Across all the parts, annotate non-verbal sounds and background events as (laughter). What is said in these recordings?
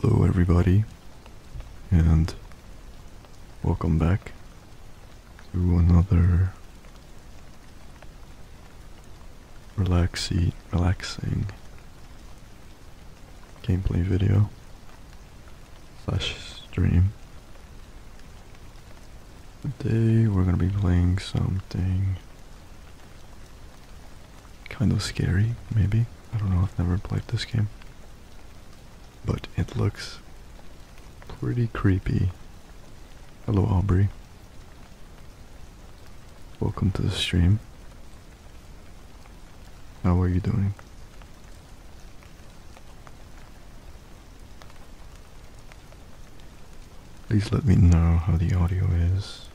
Hello everybody and welcome back to another relaxy relaxing gameplay video slash stream. Today we're gonna be playing something kind of scary, maybe. I don't know, I've never played this game. But it looks pretty creepy. Hello Aubrey. Welcome to the stream. Now what are you doing? Please let me know how the audio is.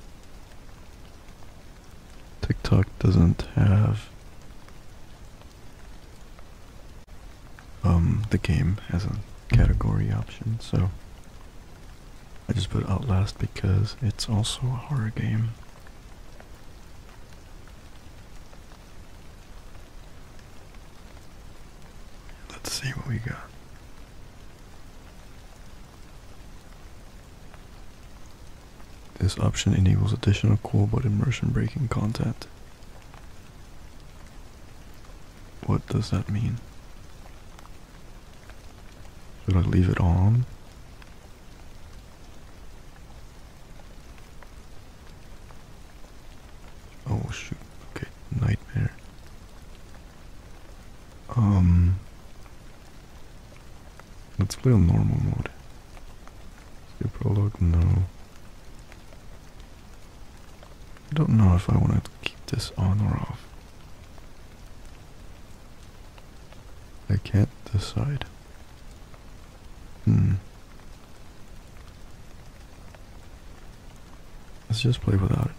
TikTok doesn't have um the game as a category option, so I just put it last because it's also a horror game. Let's see what we got. This option enables additional cool but immersion breaking content. What does that mean? Should I leave it on? Oh shoot, okay, nightmare. Um let's play on normal mode. Skip prologue, no. I don't know if I want to keep this on or off. I can't decide. Hmm. Let's just play without it.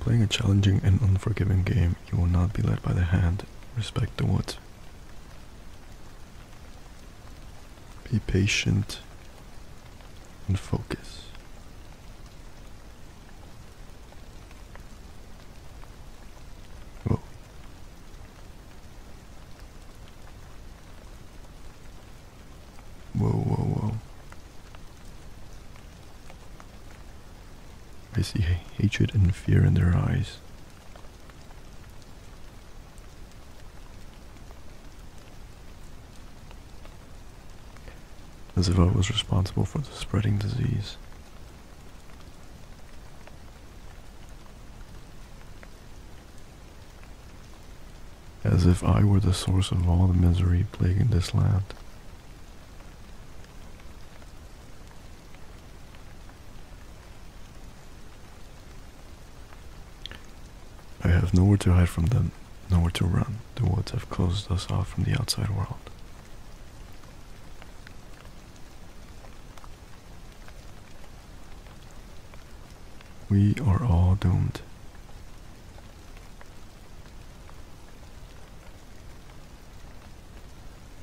playing a challenging and unforgiving game, you will not be led by the hand. Respect the woods. Be patient and focus. Whoa. Whoa, whoa, I see hatred and fear in their eyes as if I was responsible for the spreading disease. As if I were the source of all the misery plaguing this land. I have nowhere to hide from them Nowhere to run. The woods have closed us off from the outside world. We are all doomed.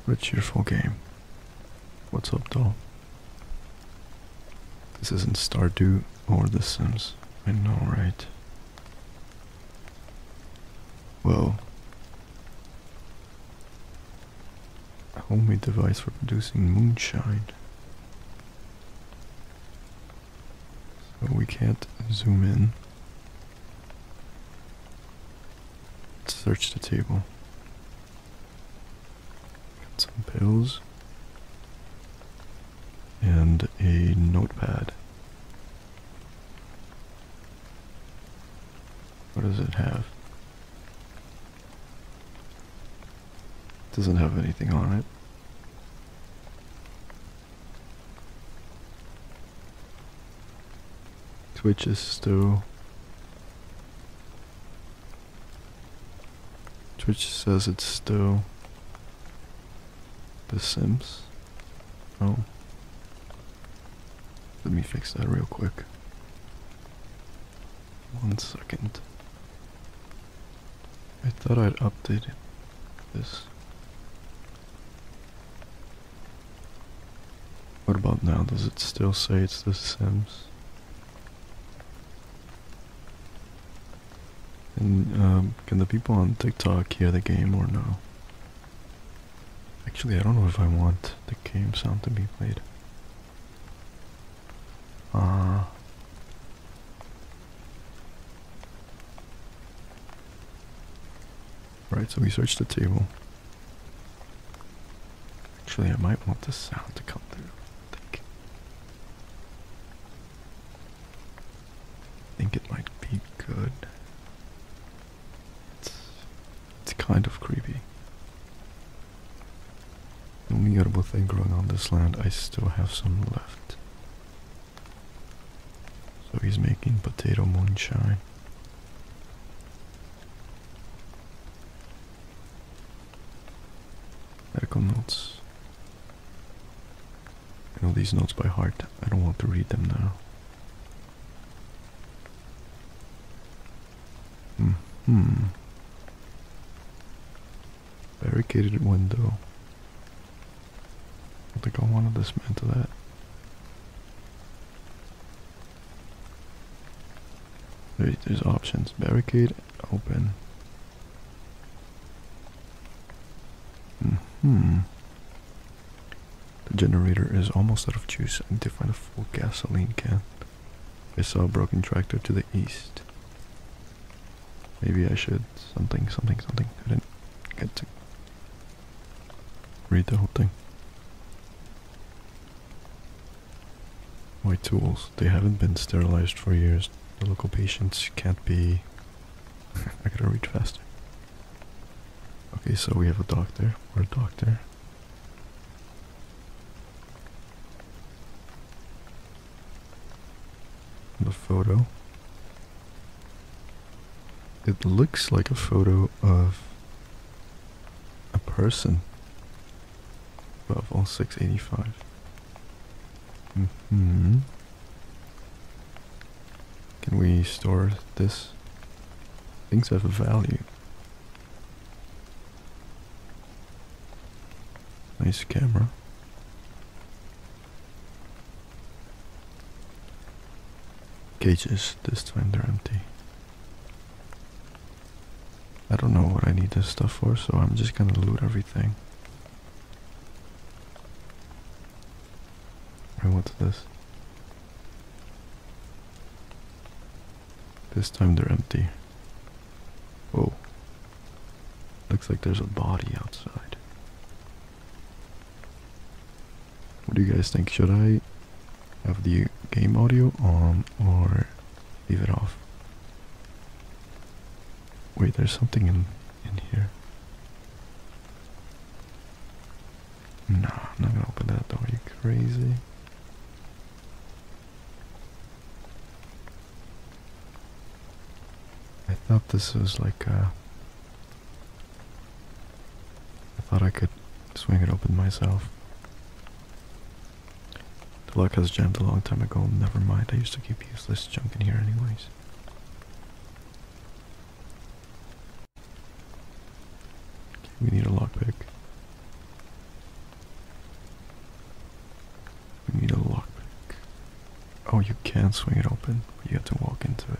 What a cheerful game. What's up, doll? This isn't Stardew or The Sims. I know, right? Well, a homemade device for producing moonshine. So we can't zoom in. search the table. some pills and a notepad. What does it have? doesn't have anything on it. Twitch is still. Twitch says it's still. The Sims? Oh. Let me fix that real quick. One second. I thought I'd updated this. What about now? Does it still say it's The Sims? And um, can the people on TikTok hear the game or no? Actually, I don't know if I want the game sound to be played. Ah. right, so we searched the table. Actually, I might want the sound to come through. I think it might be good. It's, kind of creepy. The only edible thing growing on this land, I still have some left. So he's making potato moonshine. Medical I know these notes by heart. I don't want to read them now. Mm-hmm. Barricaded window. I think I want to dismantle that. there's options. Barricade, open hmm. The generator is almost out of juice. I need to find a full gasoline can. I saw a broken tractor to the east. Maybe I should something, something, something. I didn't get to read the whole thing. My tools, they haven't been sterilized for years. The local patients can't be... (laughs) I gotta read faster. Okay, so we have a doctor. We're a doctor. The photo. It looks like a photo of a person. Above all 685. hmm can we store this? Things have a value. Nice camera. Cages, this time they're empty. I don't know what I need this stuff for, so I'm just gonna loot everything what's this? This time they're empty. Oh. Looks like there's a body outside. What do you guys think? Should I have the game audio on or leave it off? Wait, there's something in in here. No, I'm not gonna open that door, you crazy? I thought this was like uh, I thought I could swing it open myself. The lock has jammed a long time ago, never mind, I used to keep useless junk in here anyways we need a lockpick. We need a lockpick. Oh, you can swing it open, but you have to walk into it.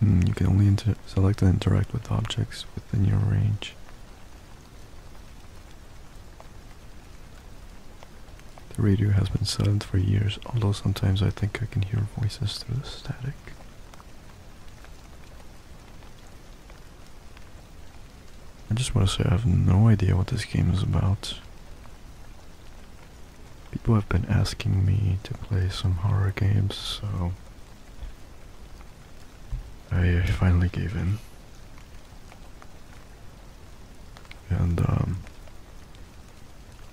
Hmm, you can only select and interact with objects within your range. The radio has been silent for years, although sometimes I think I can hear voices through the static. I just want to say I have no idea what this game is about. People have been asking me to play some horror games, so I finally gave in. And, um,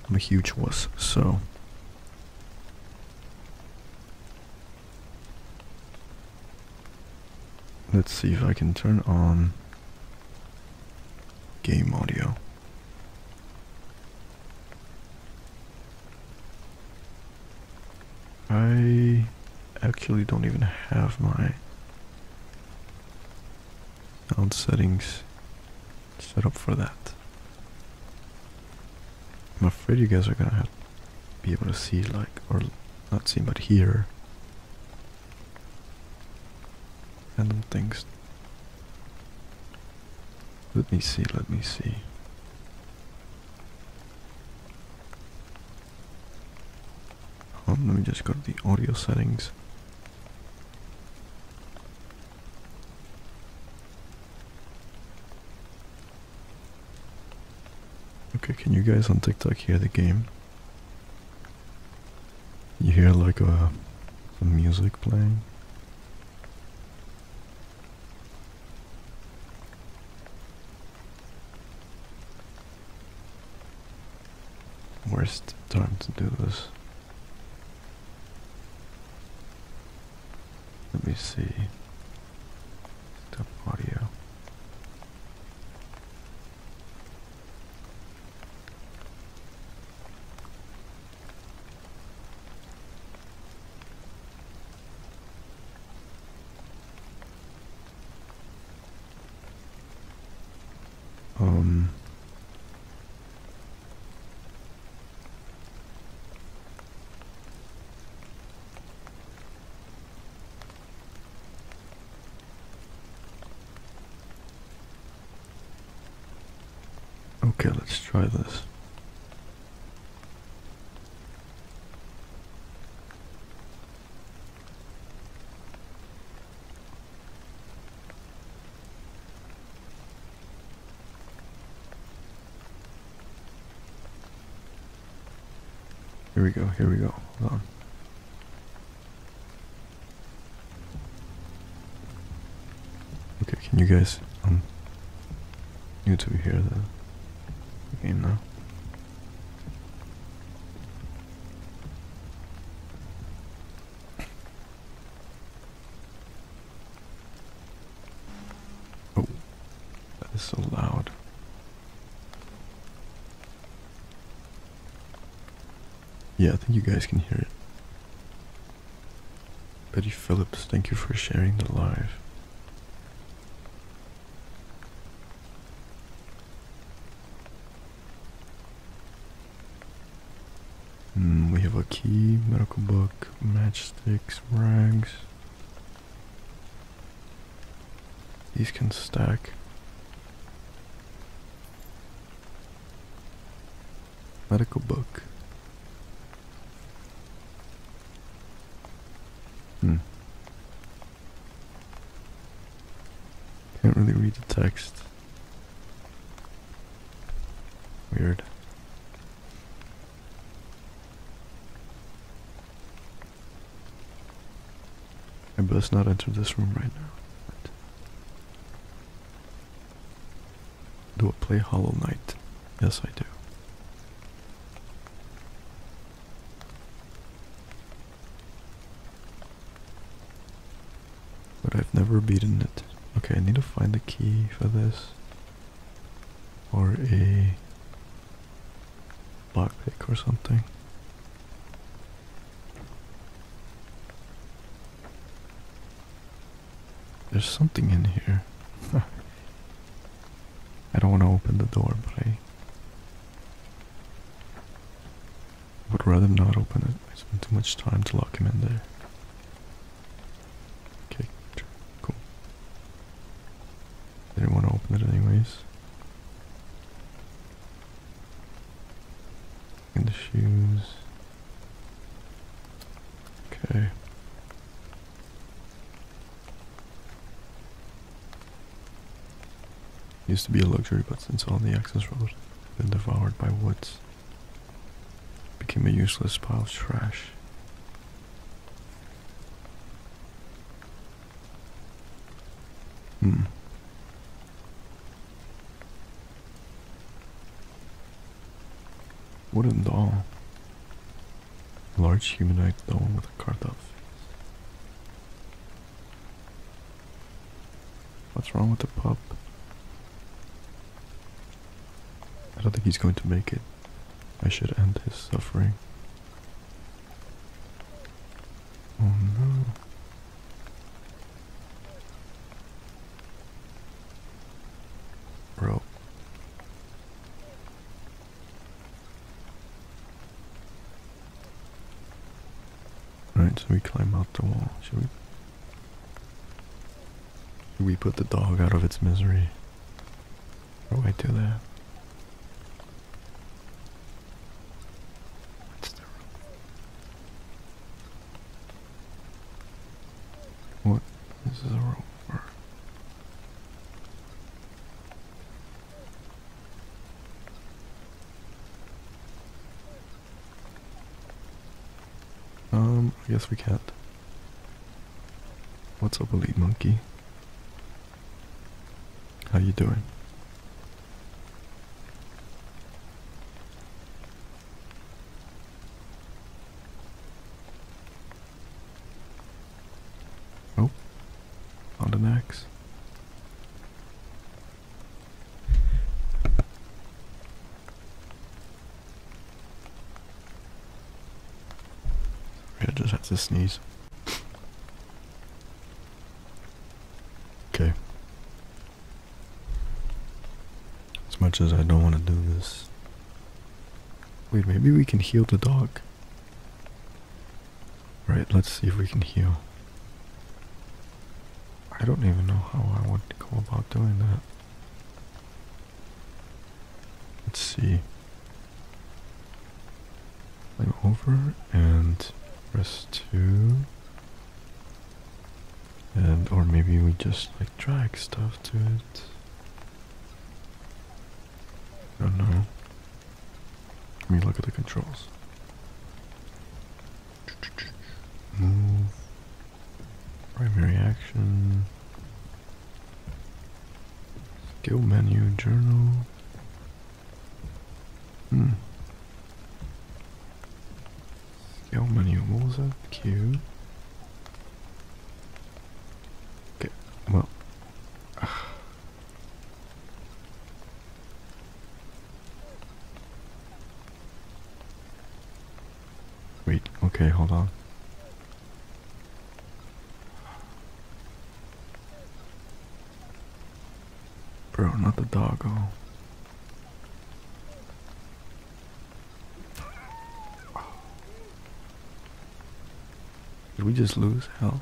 I'm a huge wuss, so. Let's see if I can turn on game audio. I actually don't even have my sound settings set up for that. I'm afraid you guys are gonna be able to see like or not see but hear and things. Let me see, let me see. Oh, let me just go to the audio settings. Okay, can you guys on TikTok hear the game? You hear like a uh, some music playing? Worst time to do this. Let me see. Stop audio. Um, okay, let's try this. Here we go, here we go. Hold on. Okay, can you guys um you two hear the, the game now? Oh, that is so loud. Yeah, I think you guys can hear it. Betty Phillips, thank you for sharing the live. Hmm, we have a key, medical book, matchsticks, rags. These can stack. Medical book. Hmm. Can't really read the text. Weird. I must not enter this room right now. Do I play Hollow Knight? Yes, I do. But I've never beaten it. Okay, I need to find the key for this. Or a lockpick or something. There's something in here. (laughs) I don't want to open the door, but I would rather not open it. I spent too much time to lock him in there. Okay, cool. I didn't want to open it anyways. In the shoes. Okay. Used to be a luxury, but since all the access road, been devoured by woods. Became a useless pile of trash. Hmm. Wooden doll. Large humanoid doll with a carved face. What's wrong with the pup? I don't think he's going to make it. I should end his suffering. Oh no. Bro. Right, so we climb out the wall, should we? we put the dog out of its misery? How do I do that? What's the rope? What is rope um, I guess we can't. What's up, elite monkey? How you doing? Oh, on the next. I just had to sneeze. okay. As much as I don't want to do this. Wait, maybe we can heal the dog. Right, let's see if we can heal. I don't even know how I would go about doing that. Let's see. I'm over and rest 2. And, or maybe we just like drag stuff to it. I don't know. Let me look at the controls. Move. Primary action. Skill menu, journal. Hmm. Skill menu, what Q. Okay, well. Ah. Wait, okay, hold on. Bro, not the dog, doggo. Did we just lose hell?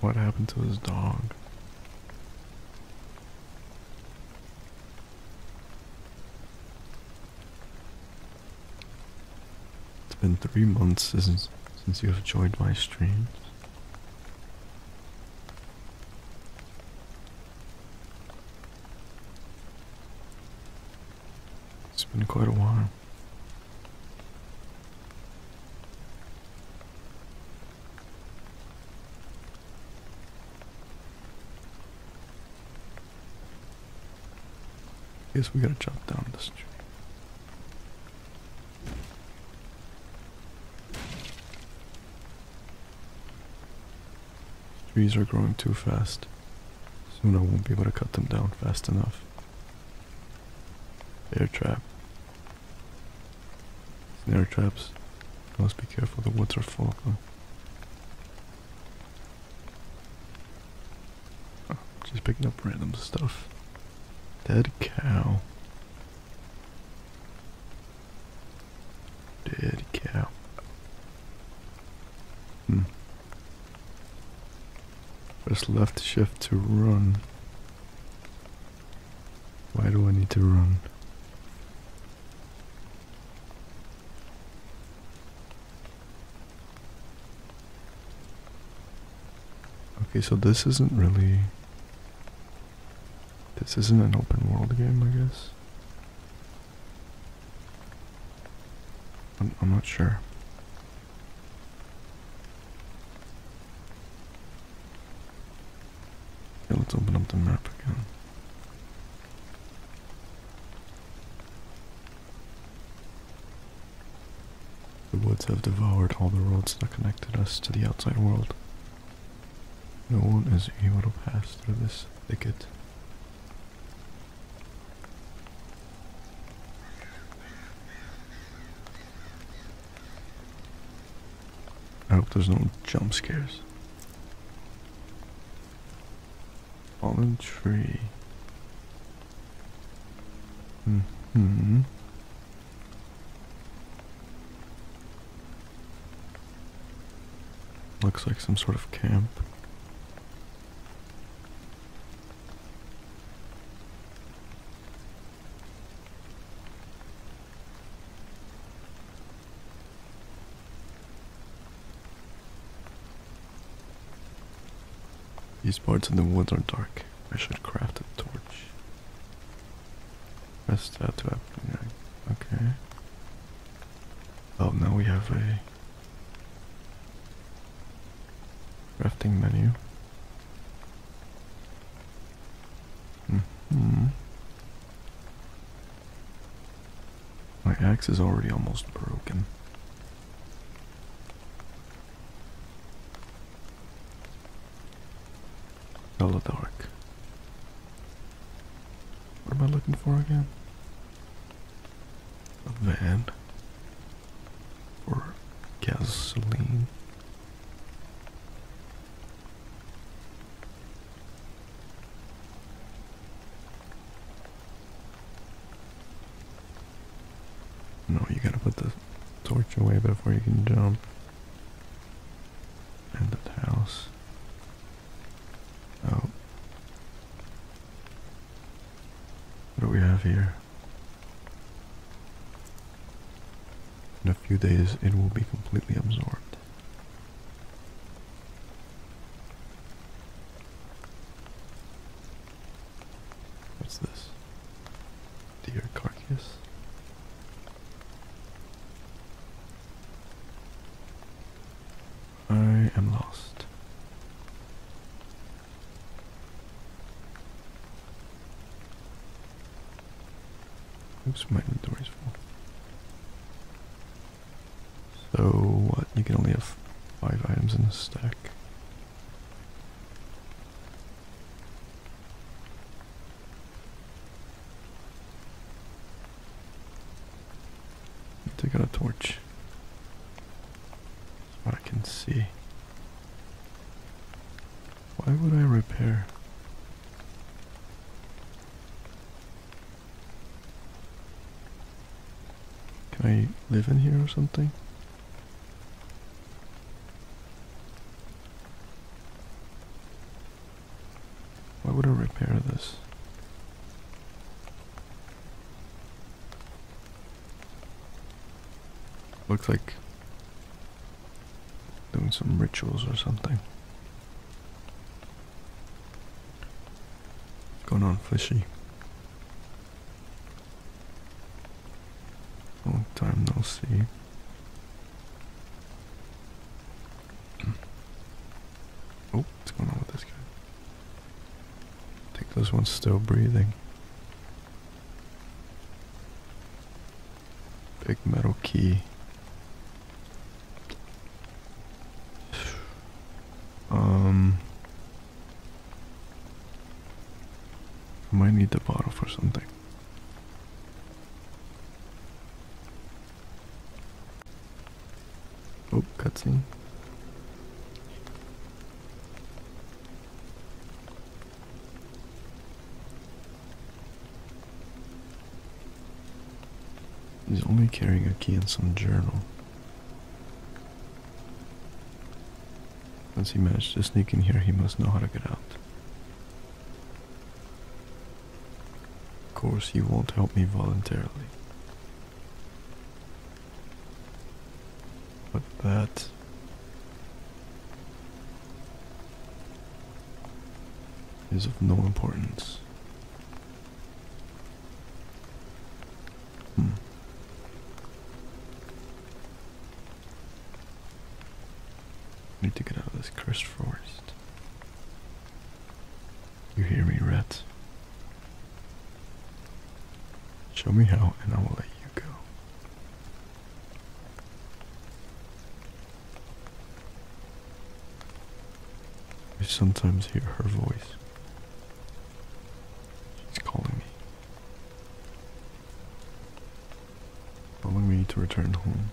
What happened to his dog? It's been three months since since you have joined my streams. It's been quite a while. Guess we gotta chop down this tree. Trees are growing too fast. Soon I won't be able to cut them down fast enough. Air trap. Snare traps. You must be careful, the woods are full of them. Oh, she's picking up random stuff. Dead cow. Dead cow. Hmm. Press left shift to run. Why do I need to run? Okay, so this isn't really... This isn't an open world game, I guess. I'm not sure let's open up the map again. The woods have devoured all the roads that connected us to the outside world. No one is able to pass through this thicket. I hope there's no jump scares. Fallen tree. hmm. Looks like some sort of camp. These parts of the woods are dark. I should craft a torch. Press that to up. Okay. Oh, now we have a Crafting menu. hmm. My axe is already almost broken. Hello, dark. What am I looking for again? A van or gasoline. No, you gotta put the torch away before you can jump. And that house. Oh. What do we have here? In a few days, it will be completely absorbed. What's this? Deer carcass? I am lost. Oops, my So what? You can only have five items in the stack. Take out a torch much. what I can see. Why would I repair? Can I live in here or something? Why would I repair this? Looks like doing some rituals or something. What's going on, fishy? Long time no see. (clears throat) oh, what's going on with this guy? I think this one's still breathing. Big metal key. Um, I might need the bottle for something. Oh, cutscene. He's only carrying a key and some journal. Once he managed to sneak in here, he must know how to get out. Of course, he won't help me voluntarily. But that. Is of no importance. Hmm. Need to get out of this cursed forest. You hear me, rat? Show me how, and I will let you go. I sometimes hear her voice. She's calling me. Calling me to return home.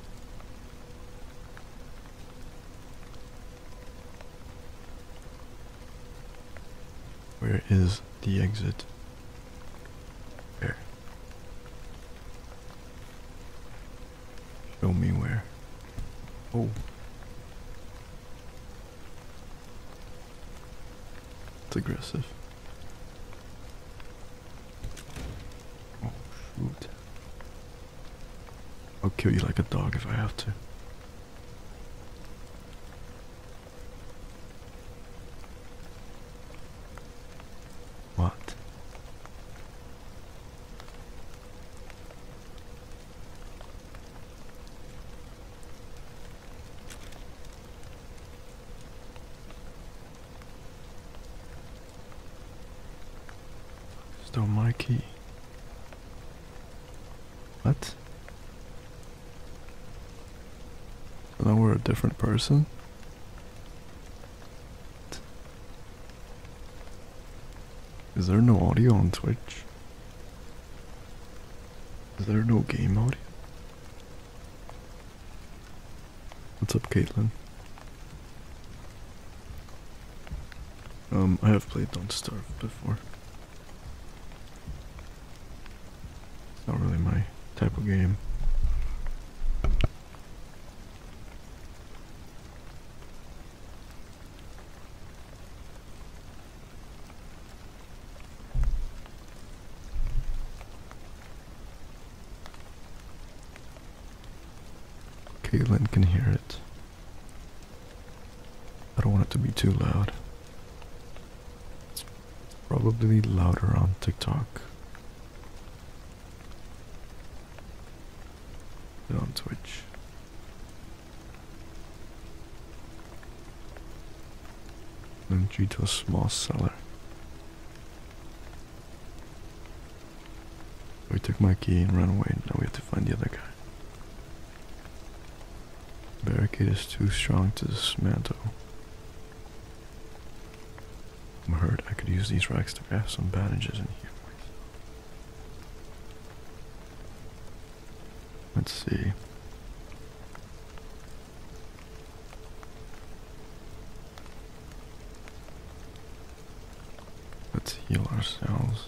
Where is the exit? There. Show me where. Oh. It's aggressive. Oh, shoot. I'll kill you like a dog if I have to. What? Stole my key. What? now we're a different person? Is there no audio on Twitch? Is there no game audio? What's up, Caitlin? Um, I have played Don't Starve before. It's not really my type of game. Caitlin can hear it. I don't want it to be too loud. Probably louder on TikTok than on Twitch. And due to a small cellar. We took my key and ran away. Now we have to find the other guy. Barricade is too strong to dismantle. I'm hurt. I could use these racks to grab some bandages in here. Let's see. Let's heal ourselves.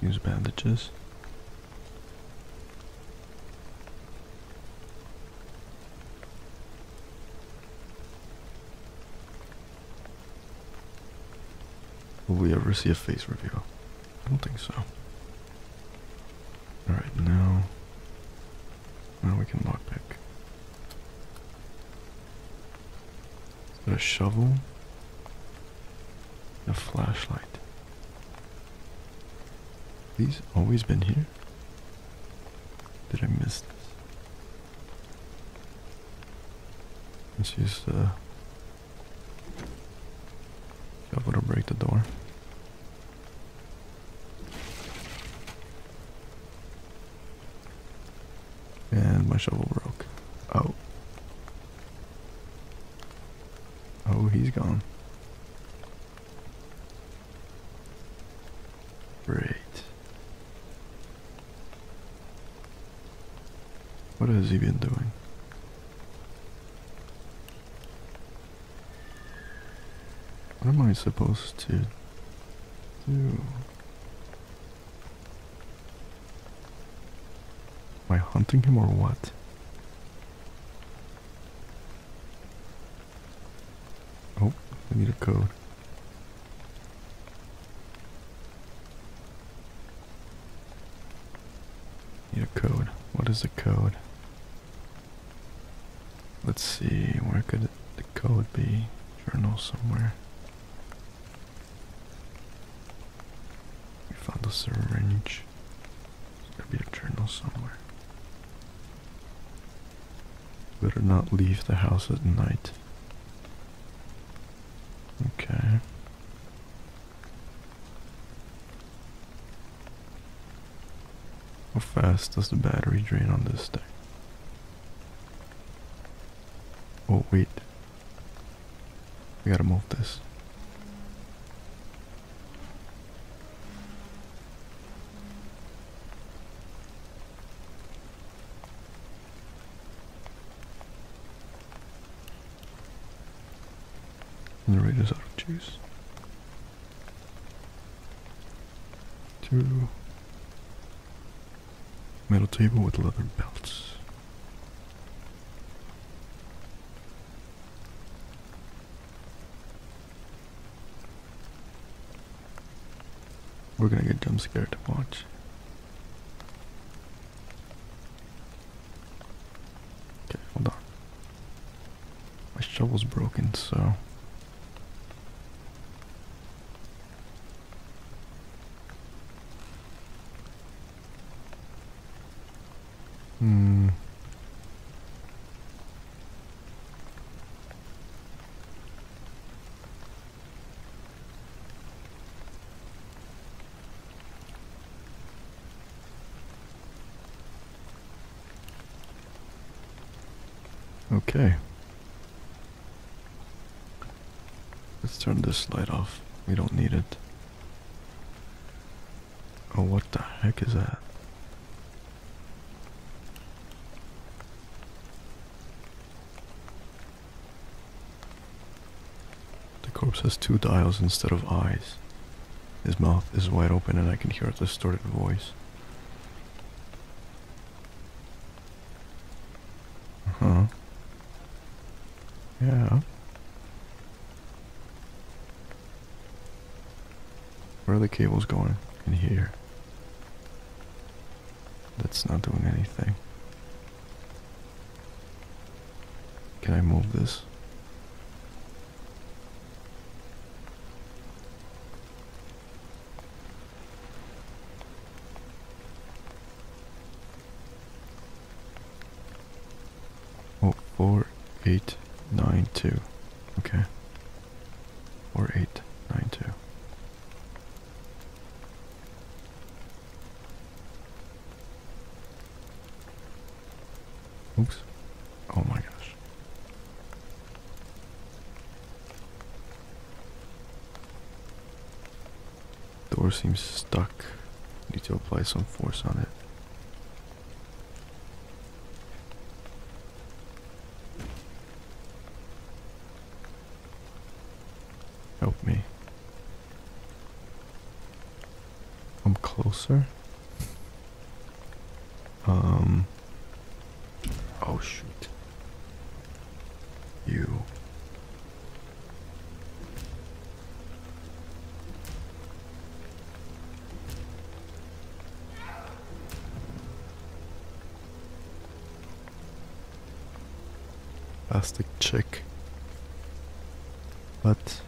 Use bandages. Will we ever see a face reveal? I don't think so. Alright, now. Now we can lockpick. Got a shovel. A flashlight. These always been here? Did I miss this? Let's use the shovel to break the door. And my shovel broke. Oh. Oh, he's gone. Great. What has he been doing? What am I supposed to do? Am I hunting him or what? Oh, I need a code. Need a code. What is the code? Let's see, where could the code be? Journal somewhere. We found the server range. a journal somewhere. Better not leave the house at night. Okay. How fast does the battery drain on this thing? Oh wait, we gotta move this. And the radius out of juice. Two metal table with leather belts. We're gonna get jump scared. Watch. Okay, hold on. My shovel's broken, so. Hmm. Okay. Let's turn this light off. We don't need it. Oh, what the heck is that? The corpse has two dials instead of eyes. His mouth is wide open, and I can hear a distorted voice. Uh huh. Yeah. Where are the cables going? In here. That's not doing anything. Can I move this? Oh, four, eight, nine, two. Okay. Four, eight, nine, two. Oops. Oh my gosh. Door seems stuck. Need to apply some force on it. Help me. I'm closer. Um. Oh, shoot. You plastic check. But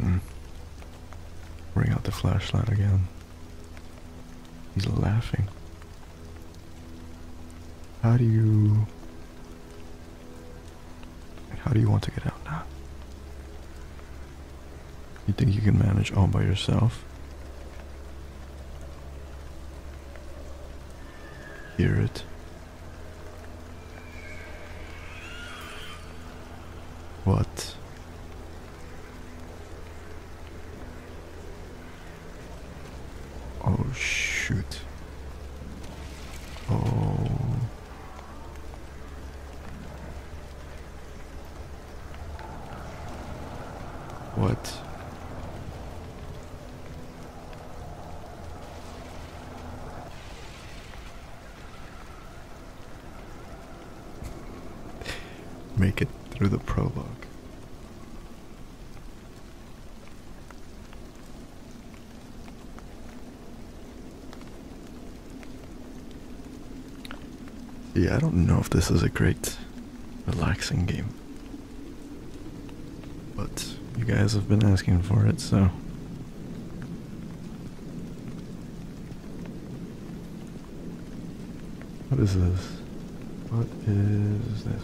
hmm. bring out the flashlight again. He's laughing. How do you. How do you want to get out now? You think you can manage all by yourself? Hear it. What? Oh shoot. Oh. What? Make it through the prologue. Yeah, I don't know if this is a great relaxing game. But you guys have been asking for it, so. What is this? What is this?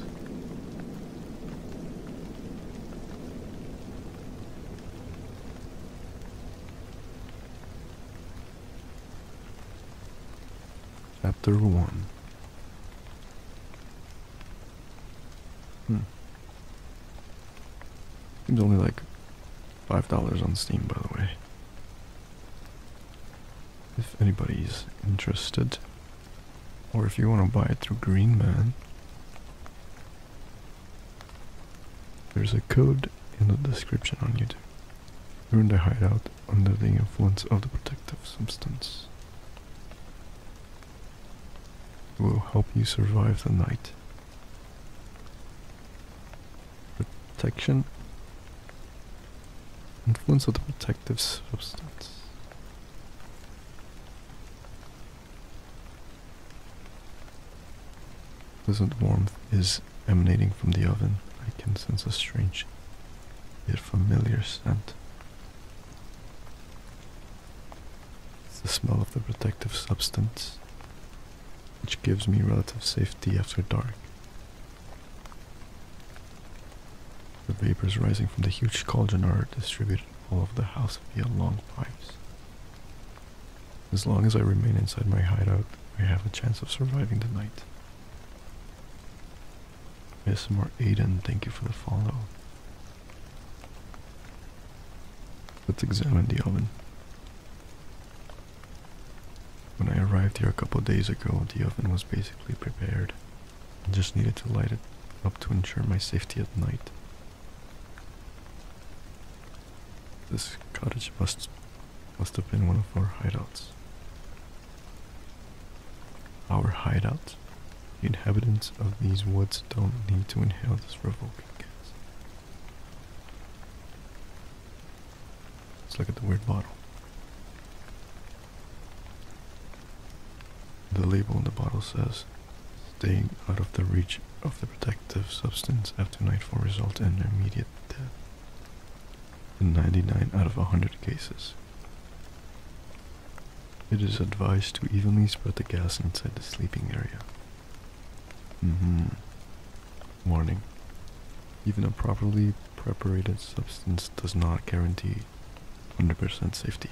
Chapter 1 Hmm. Seems only like $5 on Steam, by the way. If anybody's interested, or if you want to buy it through Greenman, there's a code in the description on YouTube. you in the hideout under the influence of the protective substance. will help you survive the night. Protection Influence of the protective substance. Pleasant warmth is emanating from the oven. I can sense a strange yet familiar scent. It's the smell of the protective substance, which gives me relative safety after dark. The vapors rising from the huge cauldron are distributed all over the house via long pipes. As long as I remain inside my hideout, I have a chance of surviving the night. More Aiden, thank you for the follow. Let's examine the oven. When I arrived here a couple days ago, the oven was basically prepared. I just needed to light it up to ensure my safety at night. This cottage must must have been one of our hideouts. Our hideouts? The inhabitants of these woods don't need to inhale this revolting gas. Let's look at the weird bottle. The label on the bottle says staying out of the reach of the protective substance after nightfall results in immediate death in 99 out of 100 cases. It is advised to evenly spread the gas inside the sleeping area. Mm-hmm. Warning. Even a properly prepared substance does not guarantee 100% safety.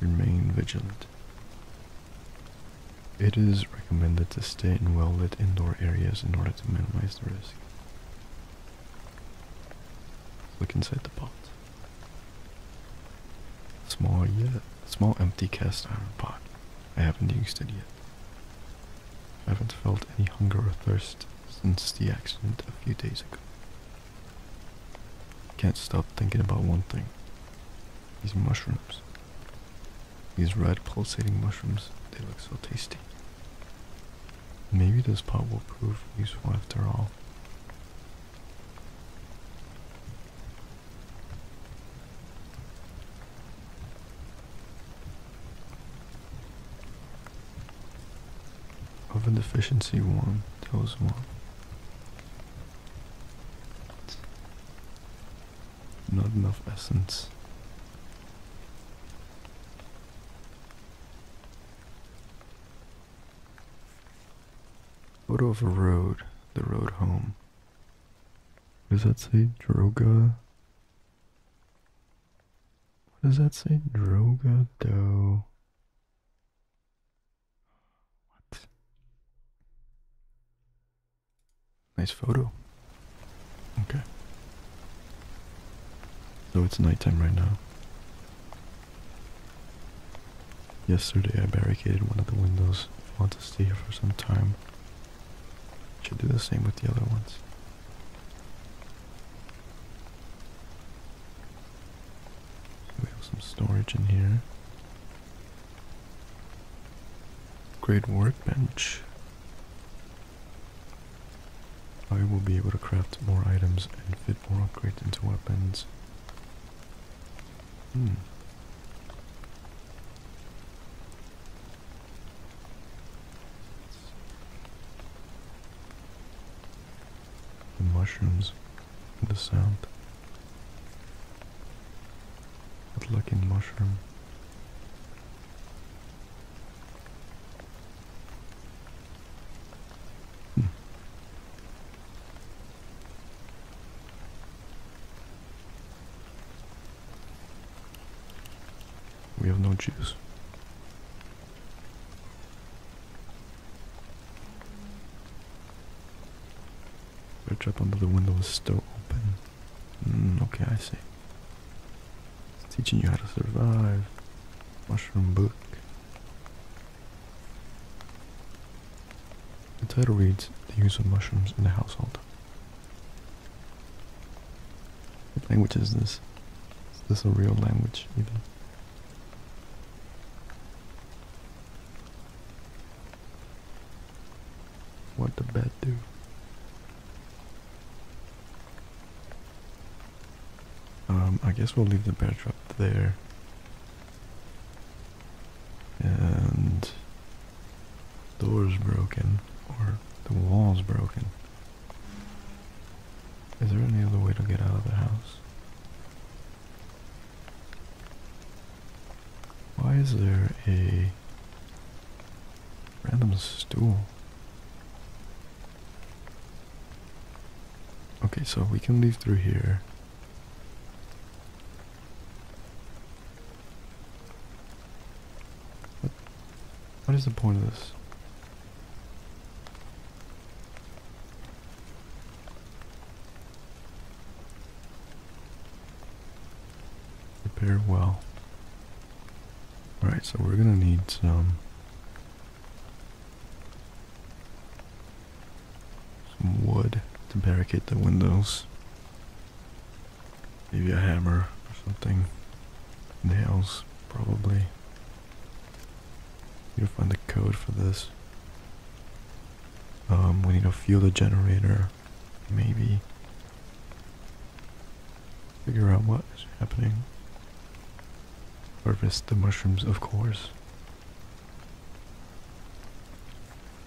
Remain vigilant. It is recommended to stay in well lit indoor areas in order to minimize the risk. Look inside the pot. Small yet, small empty cast iron pot. I haven't used it yet. I haven't felt any hunger or thirst since the accident a few days ago. Can't stop thinking about one thing these mushrooms. These red pulsating mushrooms, they look so tasty. Maybe this pot will prove useful after all. Of a deficiency one, there was one. Not enough essence. What of a road, the road home. Does that say Droga? What does that say? Droga though? What? Nice photo. Okay. So oh, it's nighttime right now. Yesterday I barricaded one of the windows. I want to stay here for some time. Should do the same with the other ones. We have some storage in here. Great workbench. I will be able to craft more items and fit more upgrades into weapons. Hmm. The mushrooms, the sound. That lucky mushroom. Hmm. We have no juice. Bridge up under the window is still open. Mm, okay, I see. It's teaching you how to survive. Mushroom book. The title reads The Use of Mushrooms in the Household. What language is this? Is this a real language even? What the bed do? Um, I guess we'll leave the bed trap there. And door's broken, or the wall's broken. Is there any other way to get out of the house? Why is there a random stool? Okay, so we can leave through here. What, what is the point of this? Prepare well. Alright, so we're gonna need some some wood to barricade the windows. Maybe a hammer or something. Nails, probably. We to find the code for this. Um, we need to fuel the generator, maybe. Figure out what is happening. Harvest the mushrooms, of course.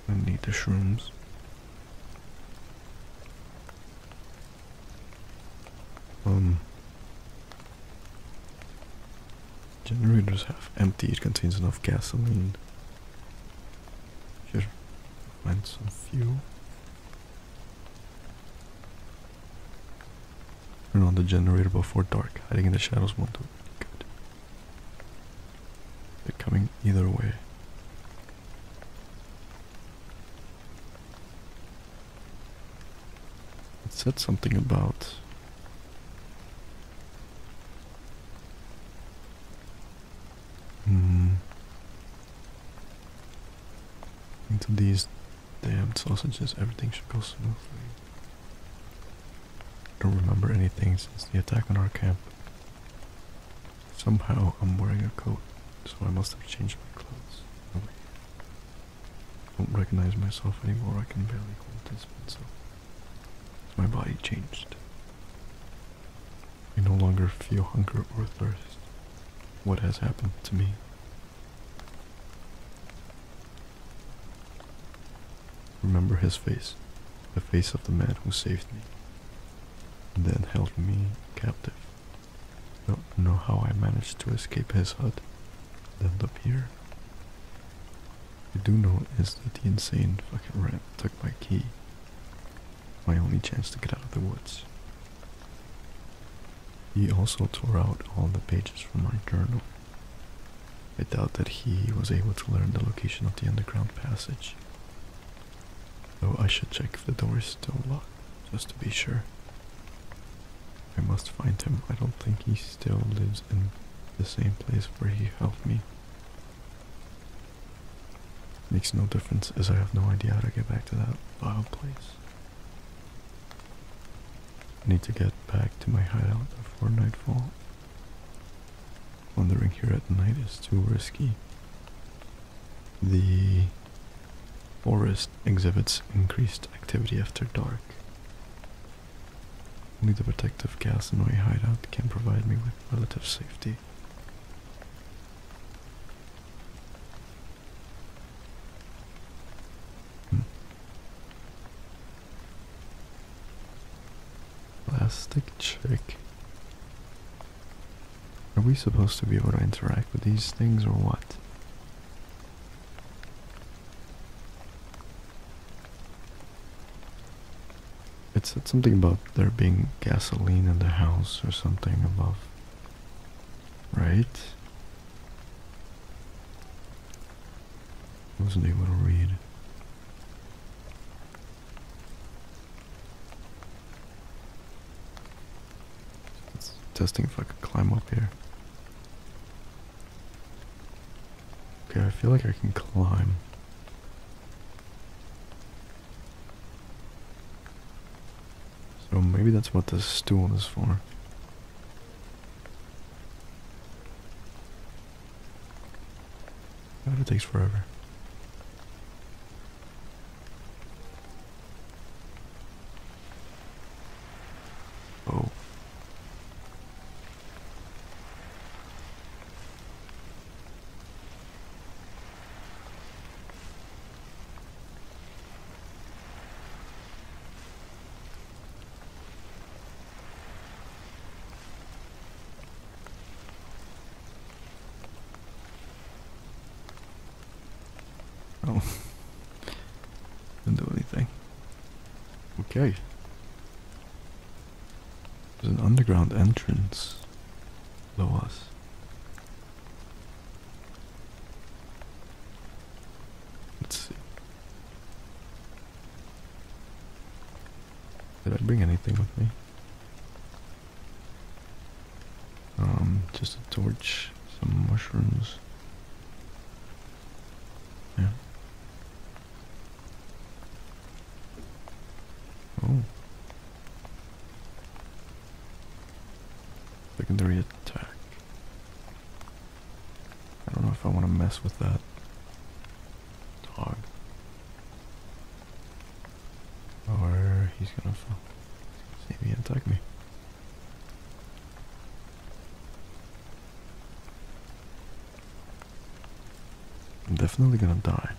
I need the shrooms. Um. Generators half empty, it contains enough gasoline. Here, find some fuel. Turn on the generator before dark. Hiding in the shadows won't do good. They're coming either way. It said something about hmm. Into these damned sausages, everything should go smoothly. I don't remember anything since the attack on our camp. Somehow I'm wearing a coat, so I must have changed my clothes. Oh, I don't recognize myself anymore, I can barely call this myself. My body changed. I no longer feel hunger or thirst. What has happened to me? Remember his face, the face of the man who saved me, and then held me captive. Don't know how I managed to escape his hut, then up here. I do know is that the insane fucking rat took my key. My only chance to get out of the woods. He also tore out all the pages from my journal. I doubt that he was able to learn the location of the underground passage. Oh, I should check if the door is still locked, just to be sure. I must find him. I don't think he still lives in the same place where he helped me. Makes no difference as I have no idea how to get back to that wild place. I need to get back to my hideout before nightfall. Wandering here at night is too risky. The forest exhibits increased activity after dark. Only the protective gas in my hideout can provide me with relative safety. Hmm. Plastic chick. Are we supposed to be able to interact with these things or what? It said something about there being gasoline in the house or something above. Right? I wasn't able to read. testing if I could climb up here. Okay, I feel like I can climb. So maybe that's what this stool is for. God, takes forever. Oh. Oh. (laughs) Didn't do anything. Okay. There's an underground entrance There was. Let's see. Did I bring anything with me? Um, just a torch, some mushrooms. Oh. Secondary attack. I don't know if I want to mess with that dog. Or he's gonna see me attack me. I'm definitely gonna die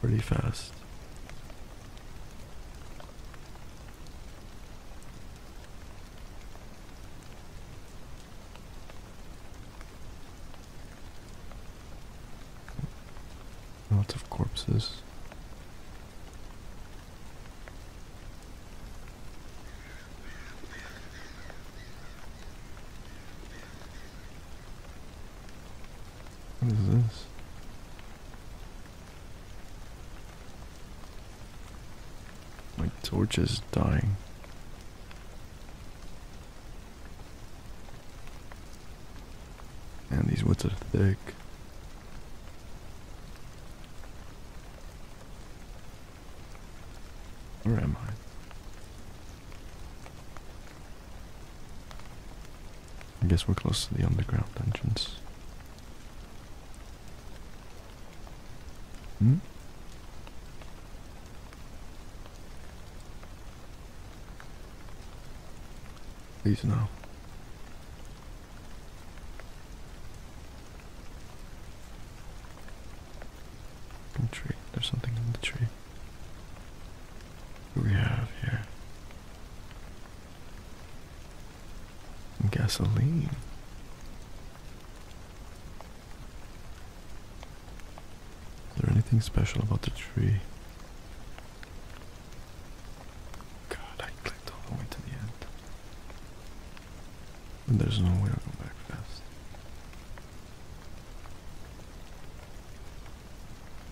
pretty fast. Lots of corpses. What is this? My torch is dying. and these woods are thick. Where am I? I guess we're close to the underground entrance. Hmm? Please no tree. There's something in the tree. we have here? Gasoline. Is there anything special about the tree? God, I clicked all the way to the end there's no way I'll go back fast.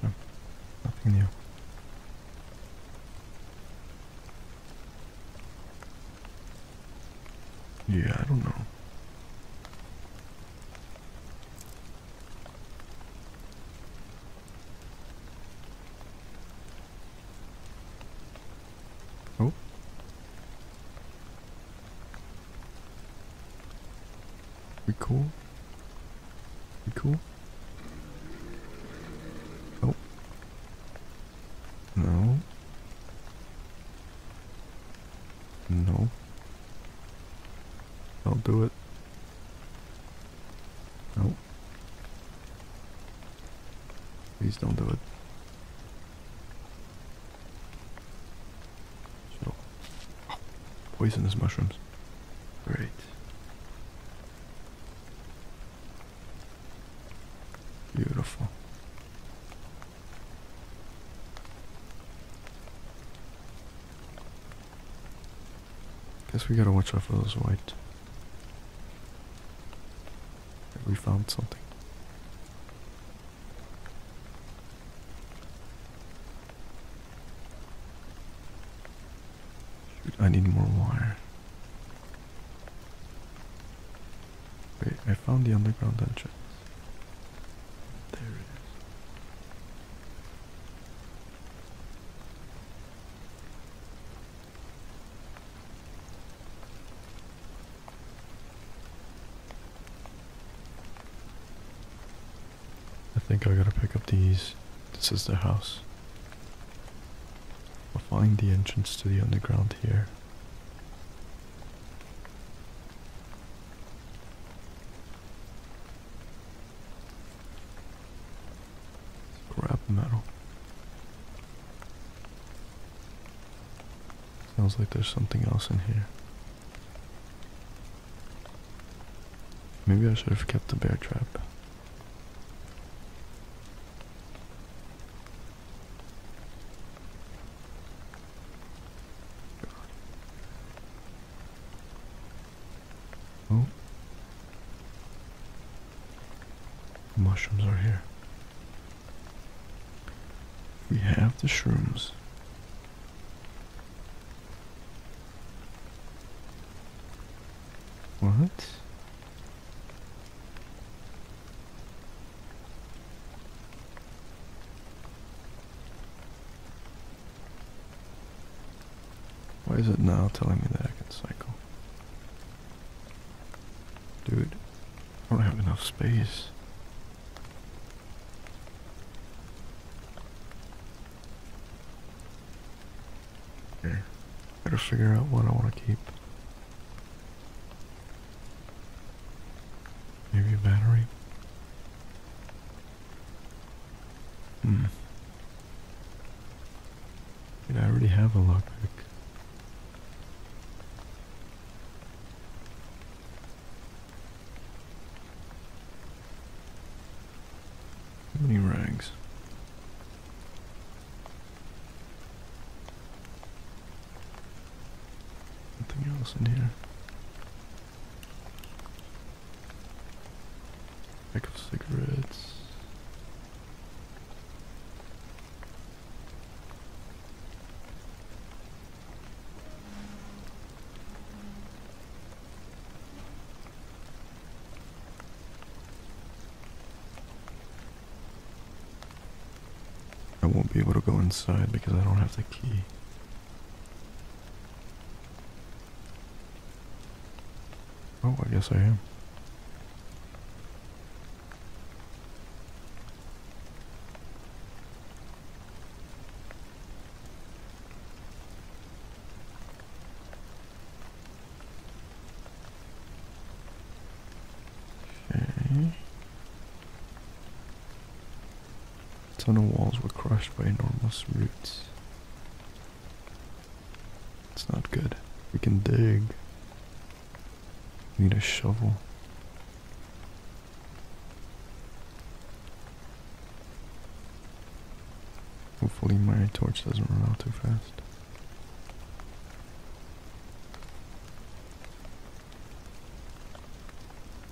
No, nothing new. Yeah, I don't know. Oh. We cool? We cool? Oh. No. No. I'll do it. No. Please don't do it poisonous mushrooms. Great. Beautiful. Guess we gotta watch out for those white. We found something. I need more wire. Wait, I found the underground entrance. There it is. I think I gotta pick up these. This is the house. i will find the entrance to the underground here. Grab metal. Sounds like there's something else in here. Maybe I should have kept the bear trap. Oh. Mushrooms are here. We have the shrooms. What? Why is it now telling me that I can cycle? Dude. I don't have enough space. Here. Better figure out what I want to keep. Maybe a battery? Hmm. Wait, I already have a lockpick. How many rags? Nothing else in here. Pack of cigarettes. I won't be able to go inside because I don't have the key. Oh, I guess I am. Okay. Tunnel walls were crushed by enormous roots. It's not good. We can dig. Need a shovel. Hopefully my torch doesn't run out too fast.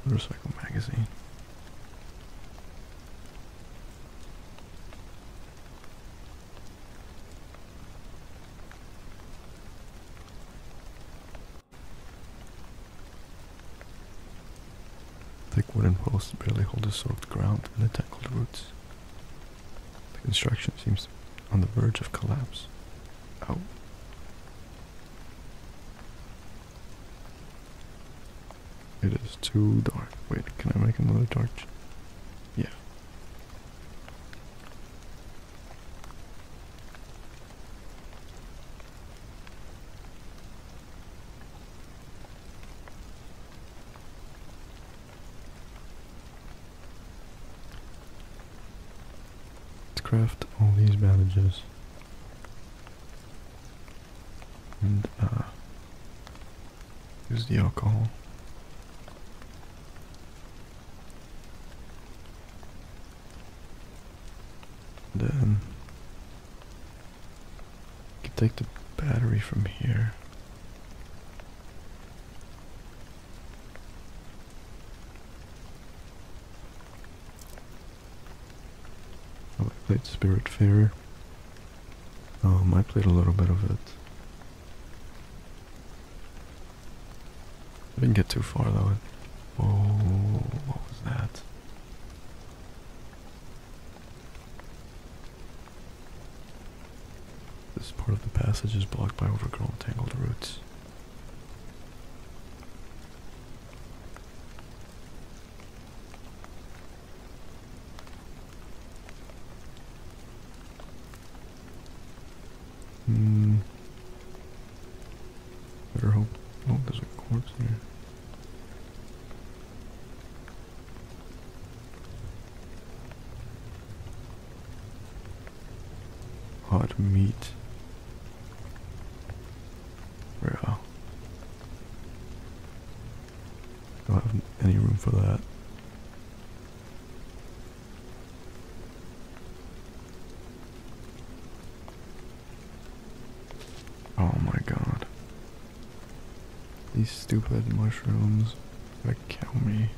Motorcycle magazine. Thick wooden posts barely hold the soaked ground and the tangled roots. The construction seems on the verge of collapse. Oh, It is too dark. Wait, can I make another torch? Yeah. Let's craft all these bandages. And uh, use the alcohol. Then you can take the battery from here. Oh, I played Spirit Fair. Um, I played a little bit of it. I didn't get too far though. Whoa, what was that? This part of the passage is blocked by overgrown tangled roots. Hmm. Better hope. Oh, there's a corpse here. Hot meat. Bro. Uh, don't have any room for that. Oh my god. These stupid mushrooms that kill me.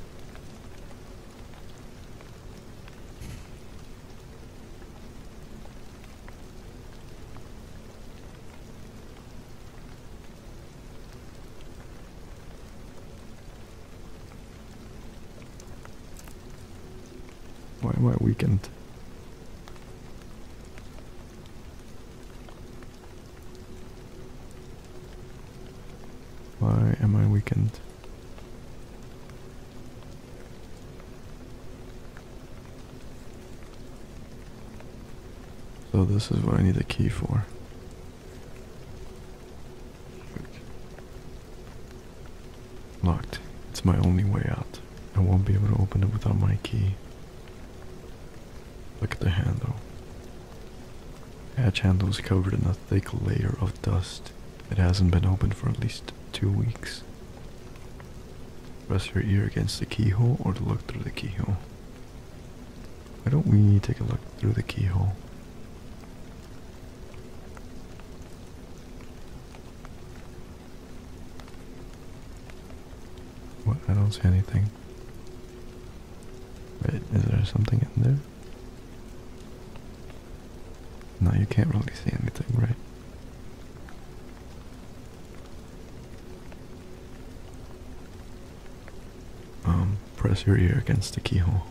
Why am I weakened? Why am I weakened? So this is what I need the key for. Locked. It's my only way out. I won't be able to open it without my key. Look at the handle. The hatch handle is covered in a thick layer of dust. It hasn't been opened for at least two weeks. Rest your ear against the keyhole or look through the keyhole. Why don't we take a look through the keyhole? What? I don't see anything. Wait, is there something in there? No, you can't really see anything, right? Um, press your ear against the keyhole.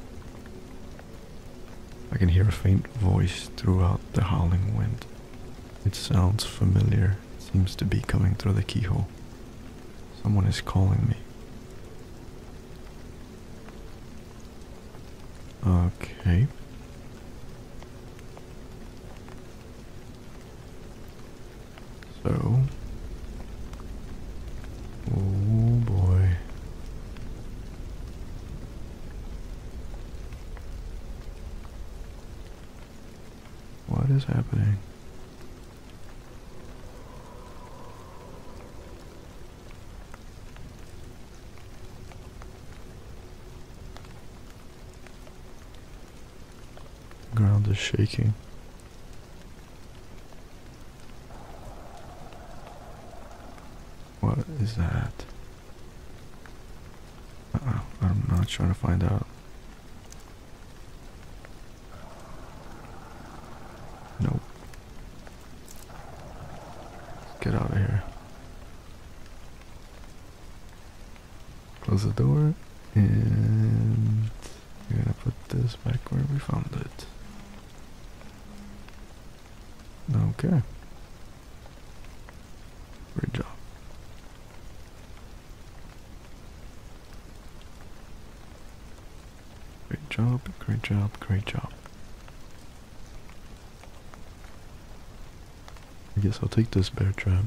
I can hear a faint voice throughout the howling wind. It sounds familiar, seems to be coming through the keyhole. Someone is calling me. Okay. So. Oh boy. What is happening? Ground is shaking. What is that? I'm not trying to find out. Nope. Get out of here. Close the door and we're gonna put this back where we found it. Okay. Great job. Great job, great job, great job. I guess I'll take this bear trap.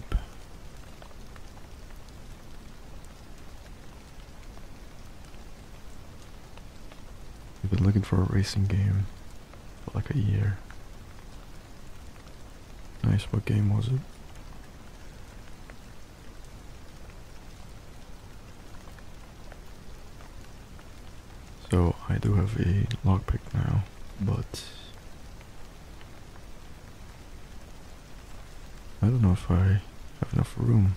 We've been looking for a racing game for like a year. Nice, what game was it? So I do have a lockpick now, but I don't know if I have enough room.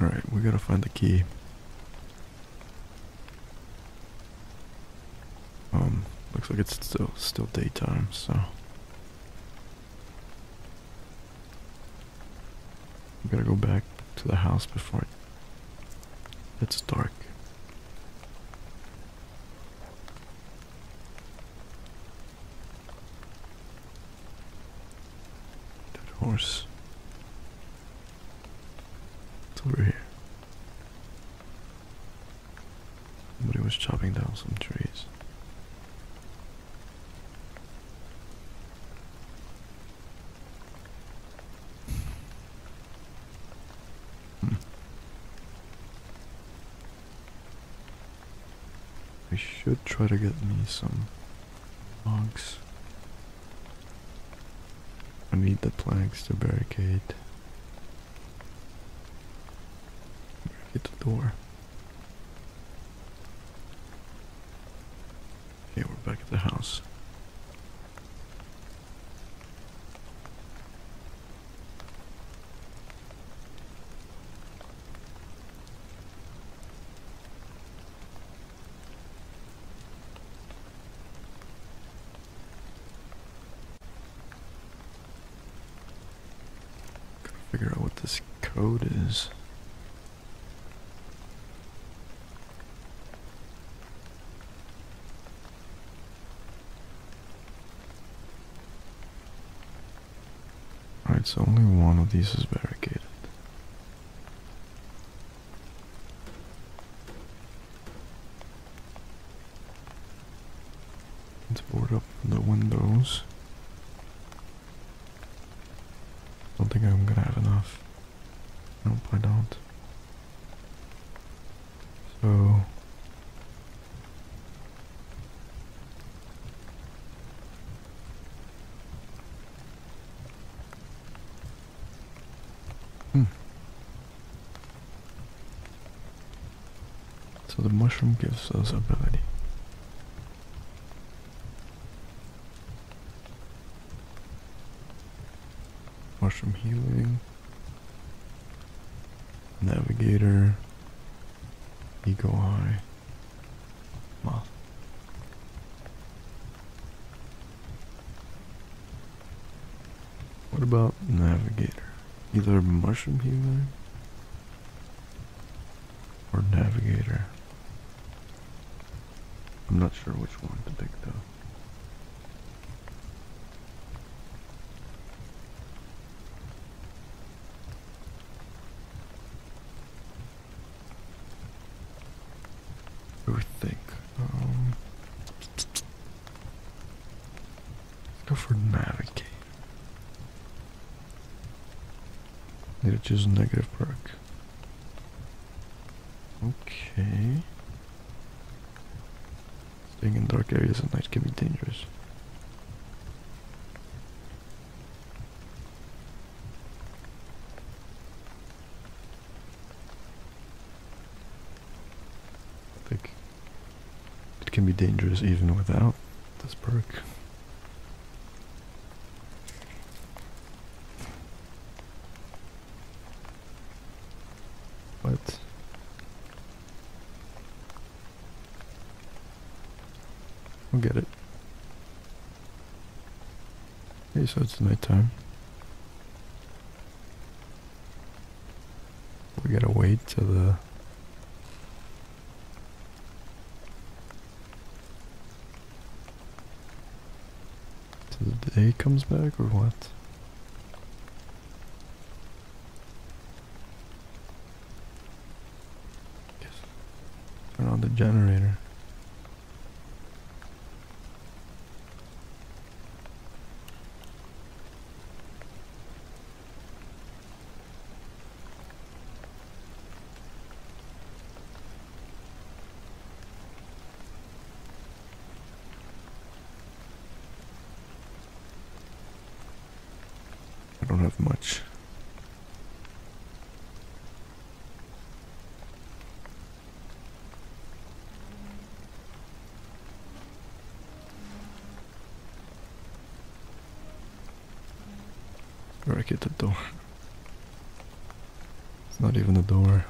Alright, we gotta find the key. Um, looks like it's still still daytime, so we gotta go back to the house before it gets dark. That horse. It's over here. Somebody was chopping down some trees. Hmm. I should try to get me some logs. I need the planks to barricade. Barricade the door. Okay, we're back at the house figure out what this code is. Alright, so only one of these is barricaded. Let's board up the windows. I don't think I'm gonna have enough. Nope, I don't. So Hmm. So the mushroom gives us ability. Mushroom healing. Navigator. Eagle Eye Moth. What about Navigator? Either Mushroom Human or Navigator. I'm not sure which one to pick though. I think. Um, let's go for navigate. Need to choose negative perk. Okay. Staying in dark areas at night can be dangerous. I think it can be dangerous even without this perk. But I'll get it. Okay, so it's nighttime. We gotta wait till the till the day comes back or what? Yes. Turn on the generator. I don't have much. Where I get the door. It's not even a door.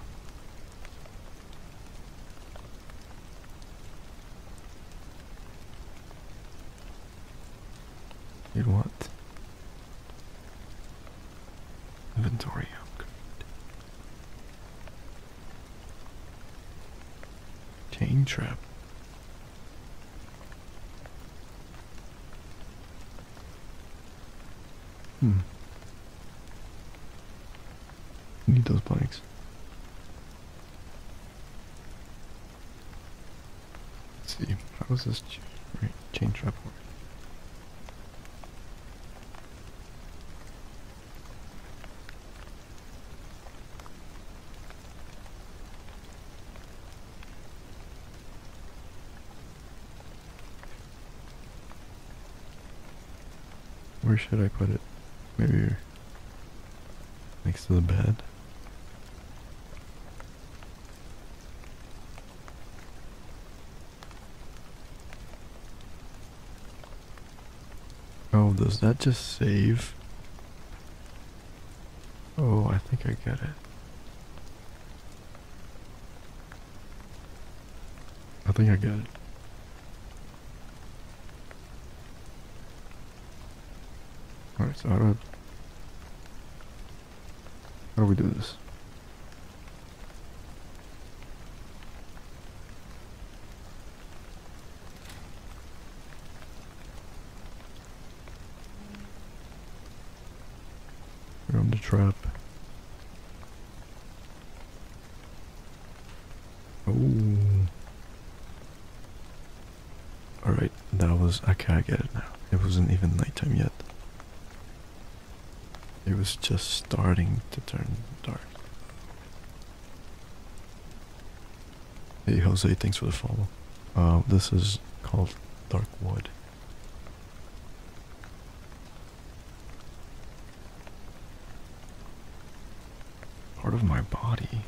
You'd want inventory Chain trap. Hmm. Need those bikes. Let's see, how does this chain trap work? Where should I put it? Maybe next to the bed. Oh, does that just save? Oh, I think I get it. I think I get it. Alright, so i do I... How do we do this? Round the trap. Oh. Alright, that was. Okay, I get it now. It wasn't even nighttime yet. It was just starting to turn dark. Hey, Jose, thanks for the follow. Uh, this is called Dark Wood. Part of my body.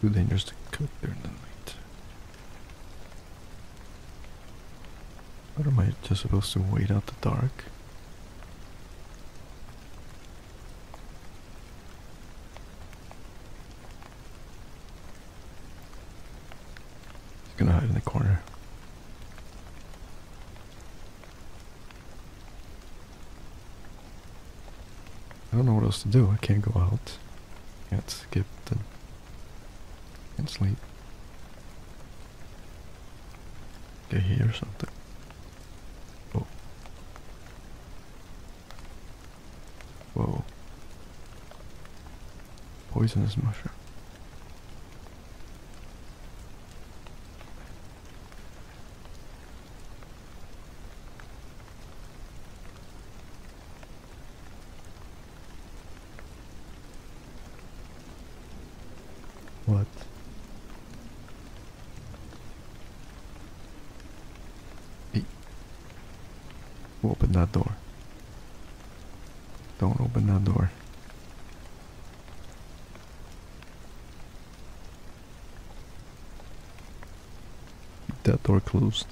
Too dangerous to cook in the night. What am I just supposed to wait out the dark? He's gonna hide in the corner. I don't know what else to do. I can't go out. Can't skip Can't sleep. Get here or something. Oh. Whoa. Poisonous mushroom. What? Hey. Who that door? Don't open that door. Keep that door closed.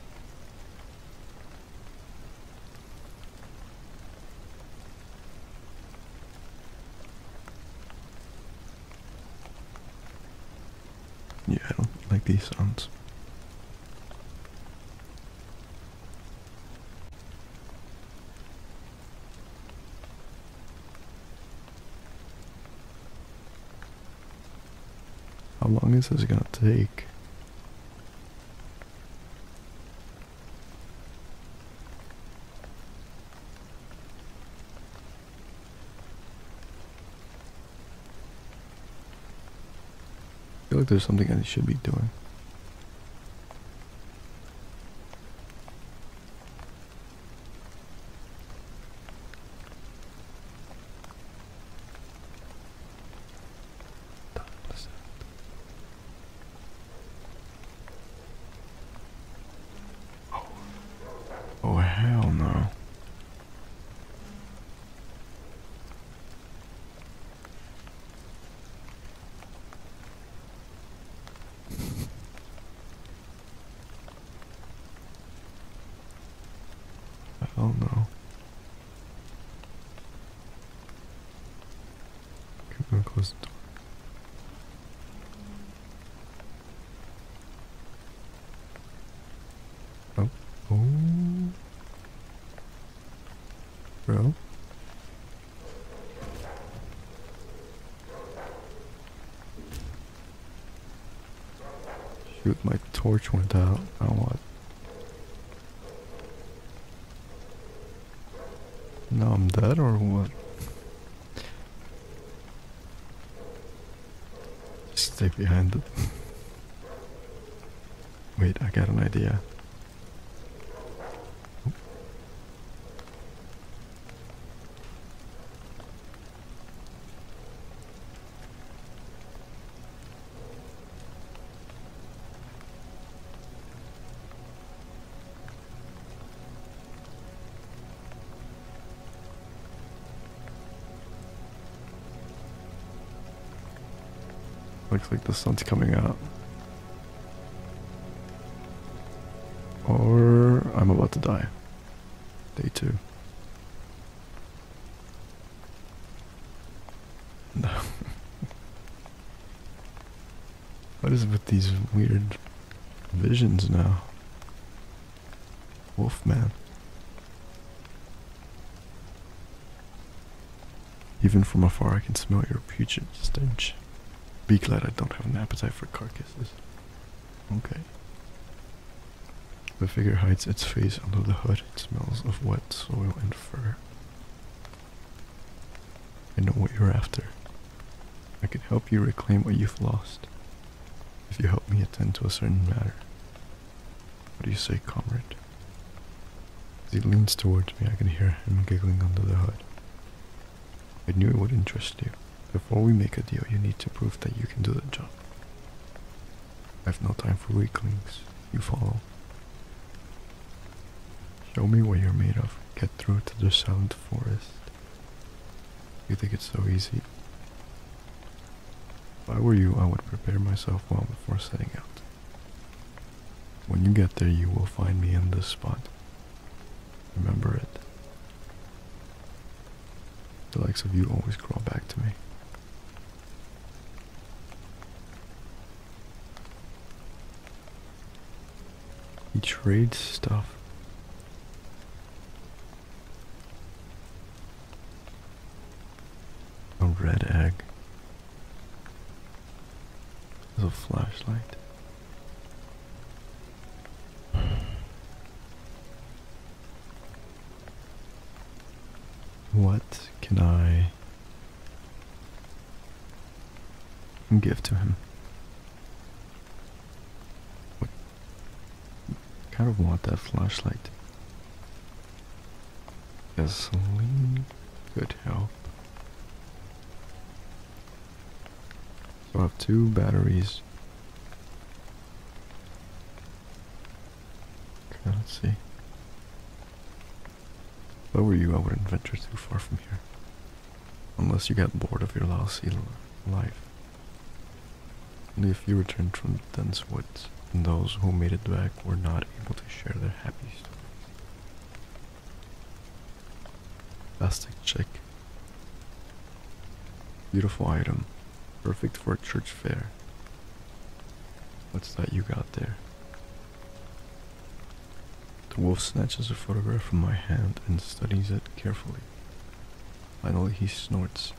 Yeah, I don't like these sounds. How long is this gonna take? I feel like there's something I should be doing. Oh, oh, hell no. Oh no. Keep going close Oh. Oh. Bro. Shoot, my torch went out. Now what? Now I'm dead or what? stay behind it. Wait, I got an idea. Looks like the sun's coming out. Or I'm about to die. Day two. (laughs) what is it with these weird visions now? Wolfman. Even from afar I can smell your putrid stench. Be glad I don't have an appetite for carcasses. Okay. The figure hides its face under the hood. It smells of wet soil and fur. I know what you're after. I can help you reclaim what you've lost if you help me attend to a certain matter. What do you say, comrade? As he leans towards me, I can hear him giggling under the hood. I knew it would interest you. Before we make a deal, you need to prove that you can do the job. I have no time for weaklings. You follow. Show me what you're made of. Get through to the silent forest. You think it's so easy? If I were you, I would prepare myself well before setting out. When you get there, you will find me in this spot. Remember it. The likes of you always crawl back to me. He trades stuff. A red egg. a flashlight. What can I give to him? What? Kind of want that flashlight. A Gasoline could help. I have two batteries. Okay, let's see. If I were you, I wouldn't venture too far from here. Unless you got bored of your lousy life. Only if you returned from the dense woods, and those who made it back were not able to share their happy stories. Plastic check. Beautiful item. Perfect for a church fair. What's that you got there? The wolf snatches the photograph from my hand and studies it carefully. Finally, he snorts,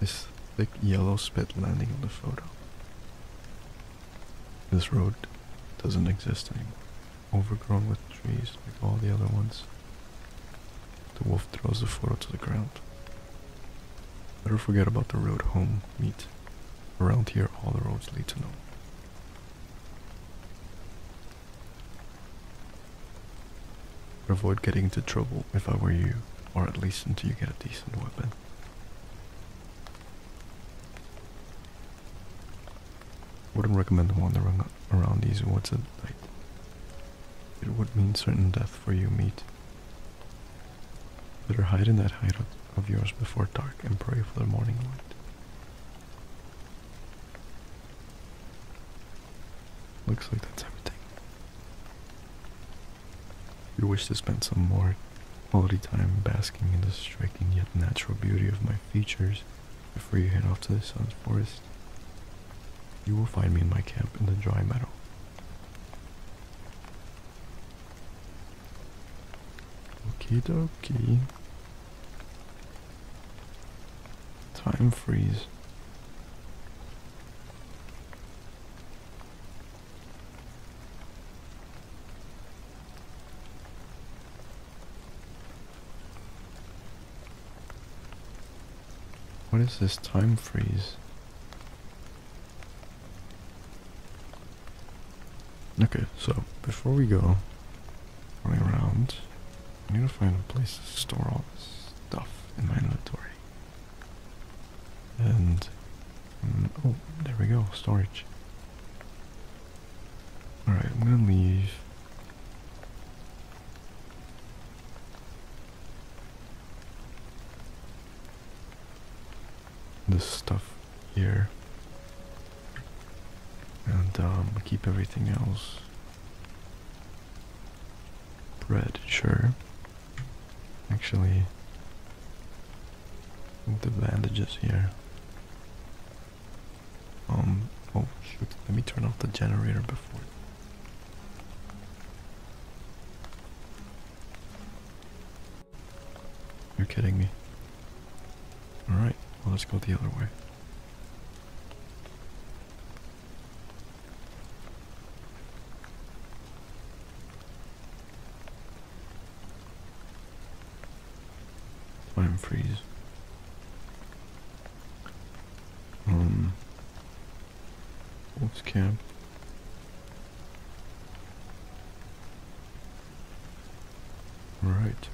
his thick yellow spit landing on the photo. This road doesn't exist anymore, overgrown with trees like all the other ones. The wolf throws the photo to the ground. Never forget about the road home meet. Around here, all the roads lead to nowhere. Avoid getting into trouble if I were you, or at least until you get a decent weapon. Wouldn't recommend wandering around these woods at night. It would mean certain death for you, meat. Better hide in that hideout of yours before dark and pray for the morning light. Looks like that's everything. If you wish to spend some more quality time basking in the striking yet natural beauty of my features before you head off to the sun's forest, you will find me in my camp in the dry meadow. Okay. dokie. Time freeze. What is this time freeze? Okay, so before we go running around, I need to find a place to store all this stuff in my inventory. And, mm, oh, there we go, storage. Alright, I'm gonna leave this stuff here and um, keep everything else bread sure actually the bandages here um oh shoot let me turn off the generator before you're kidding me. Alright, well, let's go the other way. Time freeze. Um, Wolf's camp. All right.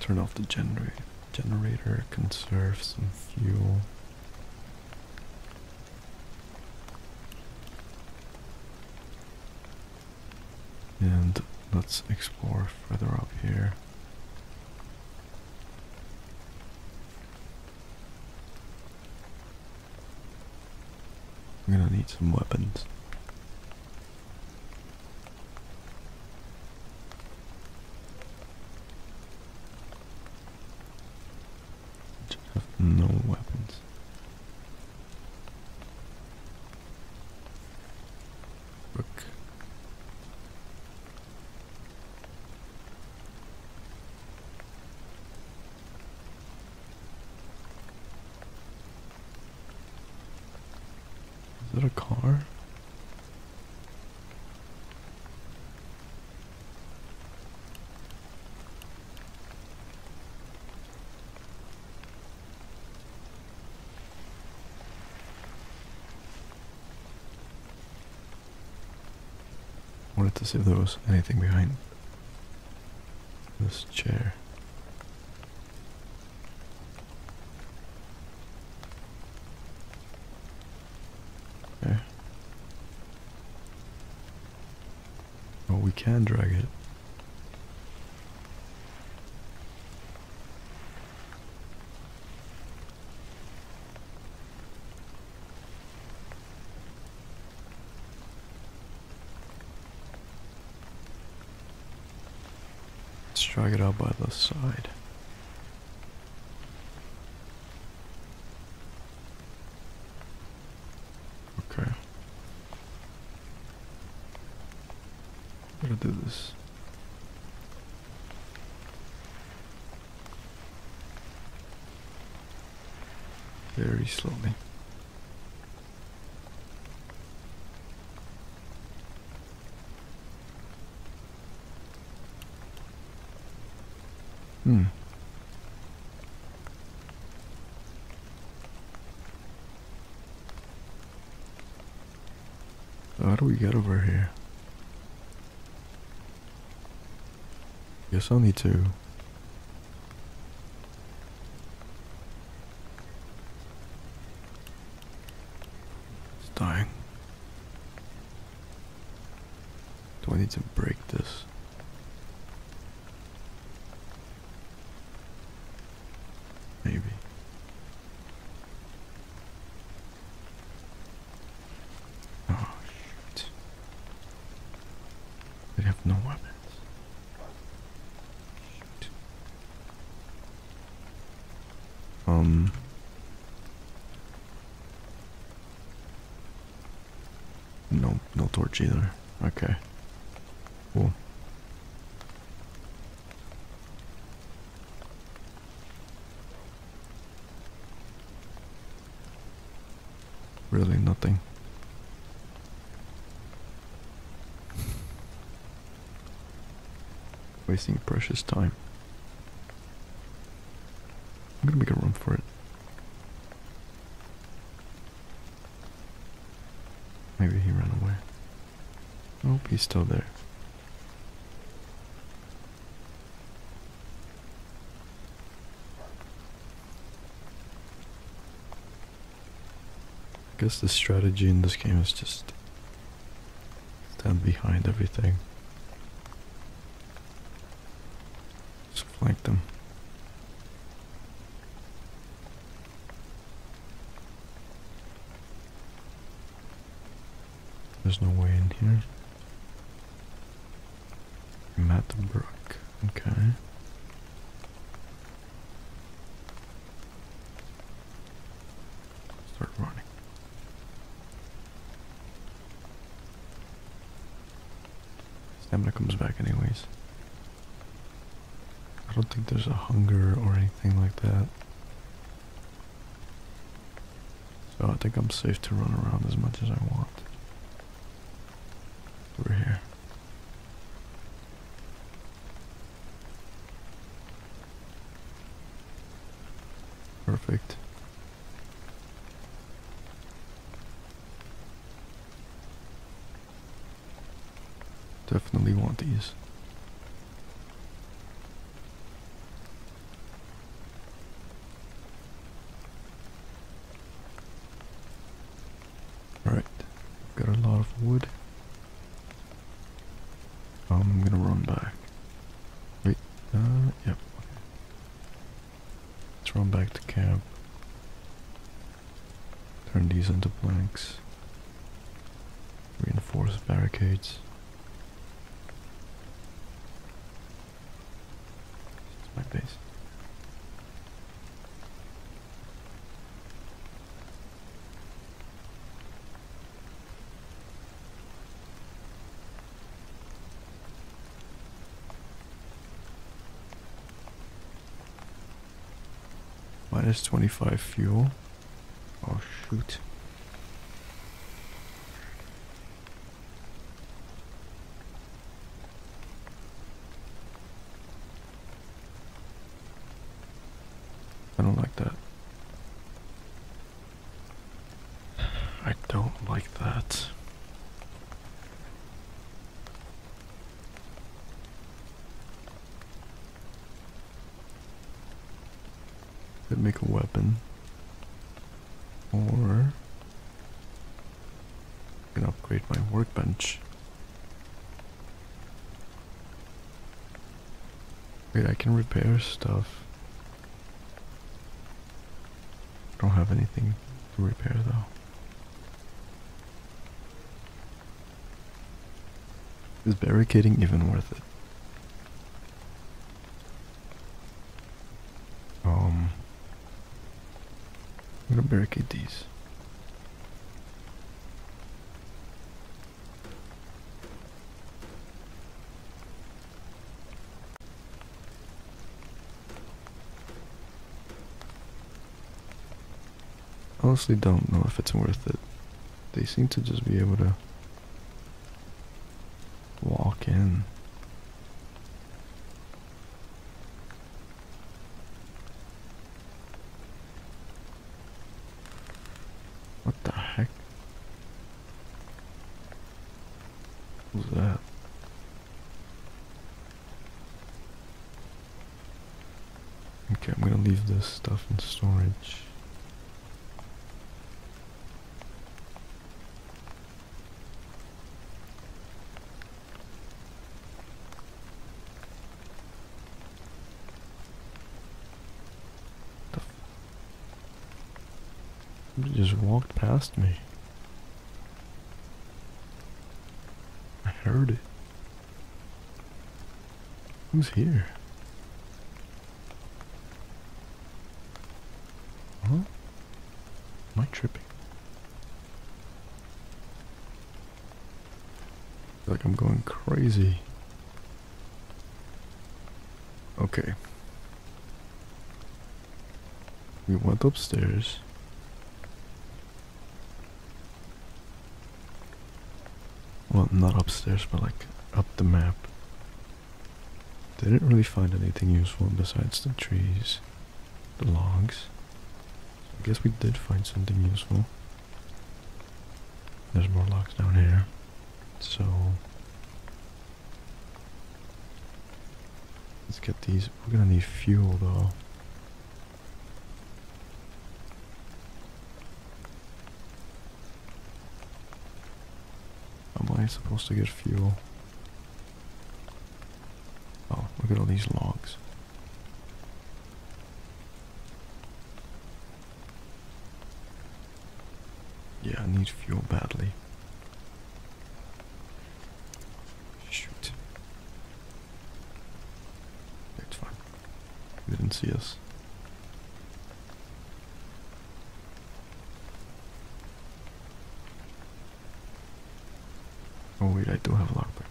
Turn off the generator. Generator conserve some fuel. And let's explore further up here. I'm gonna need some weapons. Just have no weapons. Look. Is it a car? Wanted to see if there was anything behind this chair. Okay. Oh, we can drag it. Let's drag it out by the side. Okay. I'm gonna do this very slowly. Hmm. How do we get over here? Yes, i need to. It's dying. Do I need to break this? Maybe. Oh, shoot. They have no weapons. Um. No, no torch either. Okay. Cool. Really nothing. (laughs) Wasting precious time. I'm gonna make a room for it. Maybe he ran away. I hope he's still there. I guess the strategy in this game is just stand behind everything. Just flank them. There's no way in here. Matt Brook, okay. Start running. Stamina comes back anyways. I don't think there's a hunger or anything like that. So I think I'm safe to run around as much as I want. we here. Perfect. Definitely want these. Alright, got a lot of wood. I'm gonna run back. Wait, uh, yep, Let's run back to camp. Turn these into planks. Reinforce barricades my base. Minus 25 fuel. Oh shoot. I don't like that. I don't like that. Did make a weapon? Or I can upgrade my workbench. Wait, I can repair stuff. Don't have anything to repair though. Is barricading even worth it? Um, I'm gonna barricade these. Honestly, don't know if it's worth it. They seem to just be able to walk in. What the heck? What that? Okay, I'm gonna leave this stuff in storage. Somebody just walked past me. I heard it. Who's here? Huh? Am I tripping? Like I'm going crazy. Okay. We went upstairs. Well, not upstairs, but like up the map. Didn't really find anything useful besides the trees, the logs. I guess we did find something useful. There's more logs down here. So... Let's get these. We're gonna need fuel though. How am I supposed to get fuel? Oh, look at all these logs. Yeah, I need fuel badly. Shoot. It's fine. They didn't see us. Oh wait, I do have a lockpick.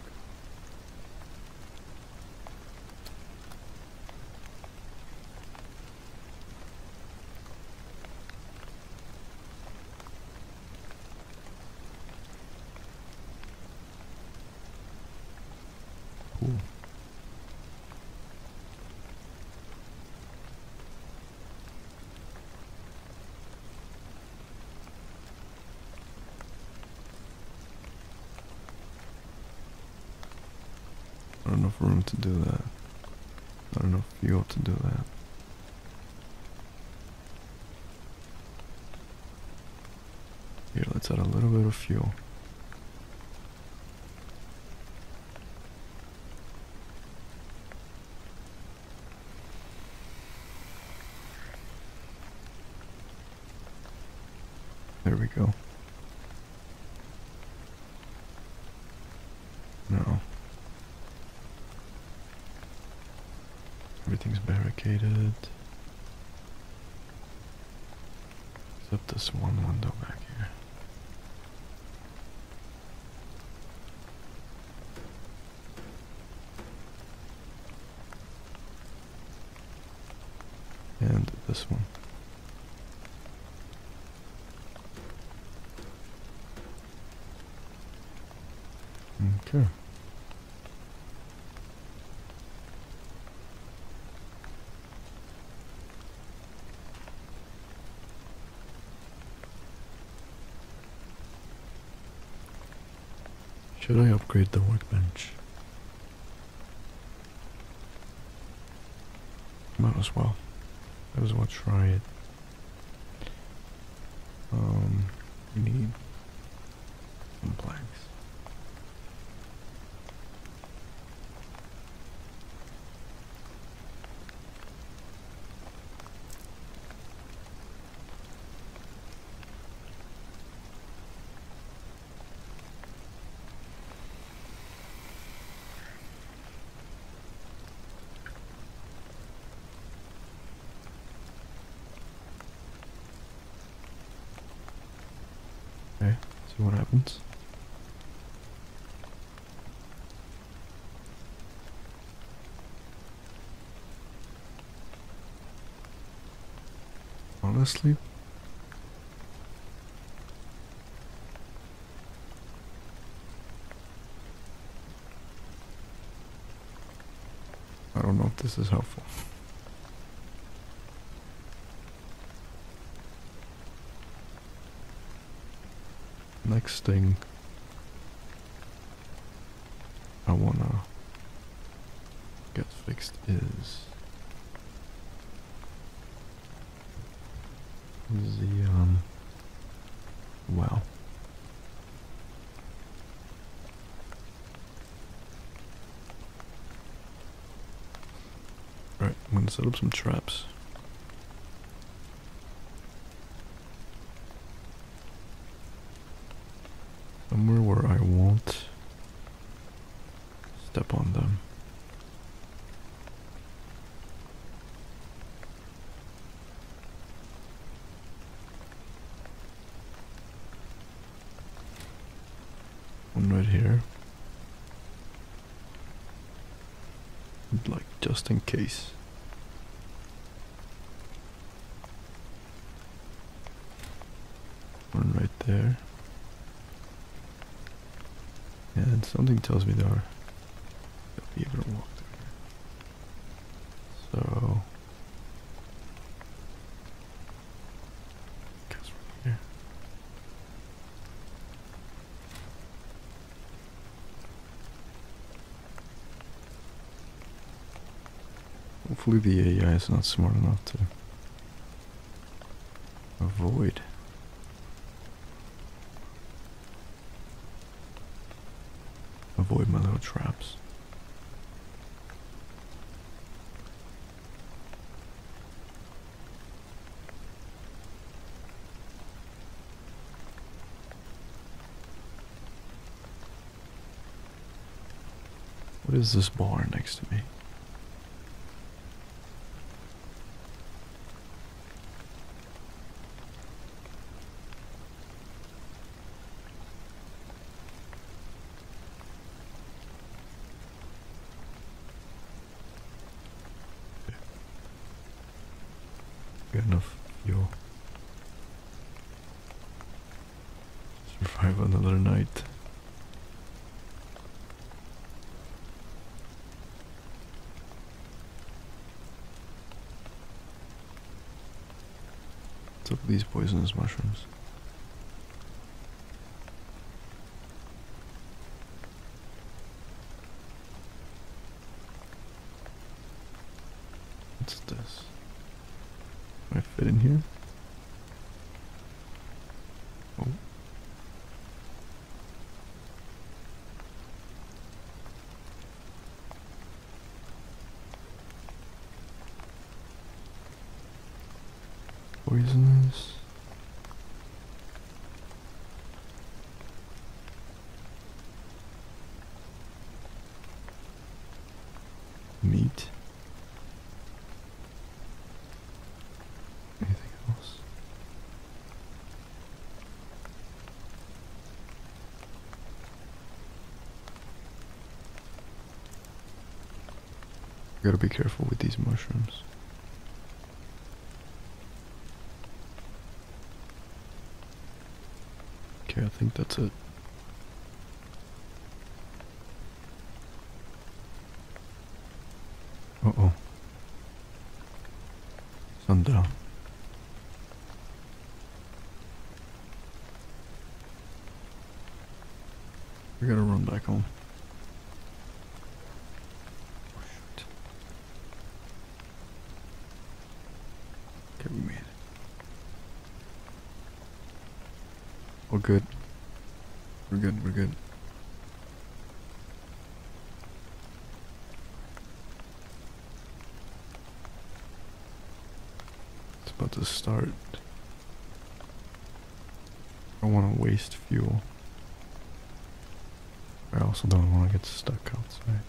Cool. Not enough room to do that. Not enough fuel to do that. Here, let's add a little bit of fuel. There we go. No. Everything's barricaded. Except this one window back here. And this one. Okay. Should I upgrade the workbench? Might as well. Might as well try it. Um, need planks. Okay, see what happens. Honestly? I don't know if this is helpful next thing I wanna get fixed is the um, well Alright, I'm gonna set up some traps. Somewhere where I won't step on them. One right here. Like just in case. One right there. And something tells me there are people walk through So because we here. Hopefully the AI is not smart enough to avoid. Avoid my little traps. What is this bar next to me? Good enough. Yo. Survive another night. Took these poisonous mushrooms. What's this? Do I fit in here? Oh. Poisonous meat. Anything else? Gotta be careful with these mushrooms. Okay, I think that's it. Uh oh. Sun down. We gotta run back home. Oh, we're good. We're good, we're good. It's about to start. I don't want to waste fuel. I also don't want to get stuck outside.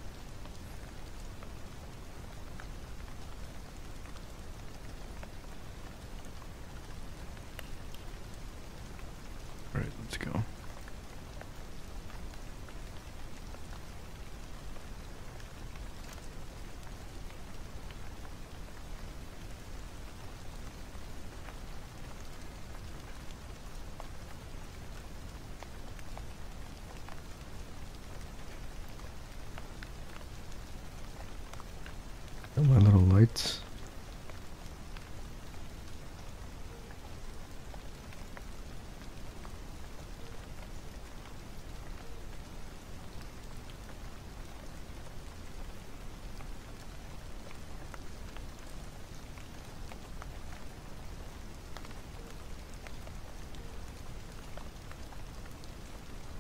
All right, let's go. And my little lights.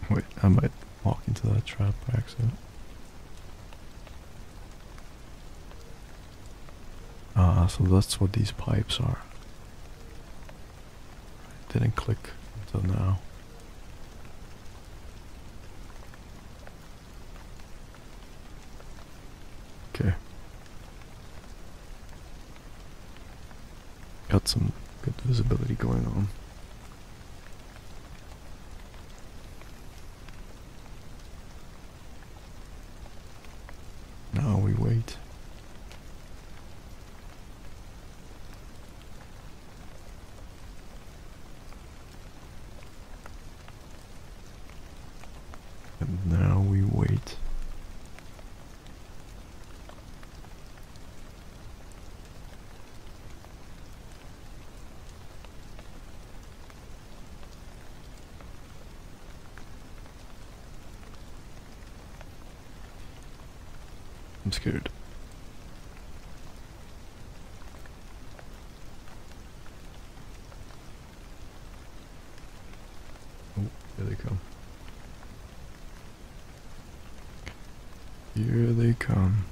Wait, I might walk into that trap by accident. Ah, so that's what these pipes are. didn't click until now. Okay. Got some good visibility going on. Now we wait. And now we wait. I'm scared. Oh, here they come. Here they come.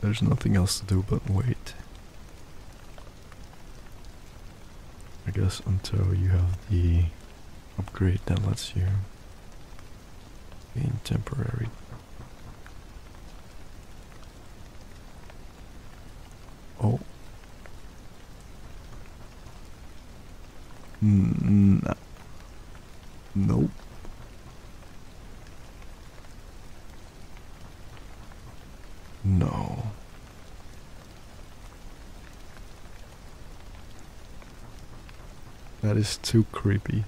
There's nothing else to do but wait. I guess until you have the upgrade that lets you in temporary Oh. Mm, nope. No. That is too creepy.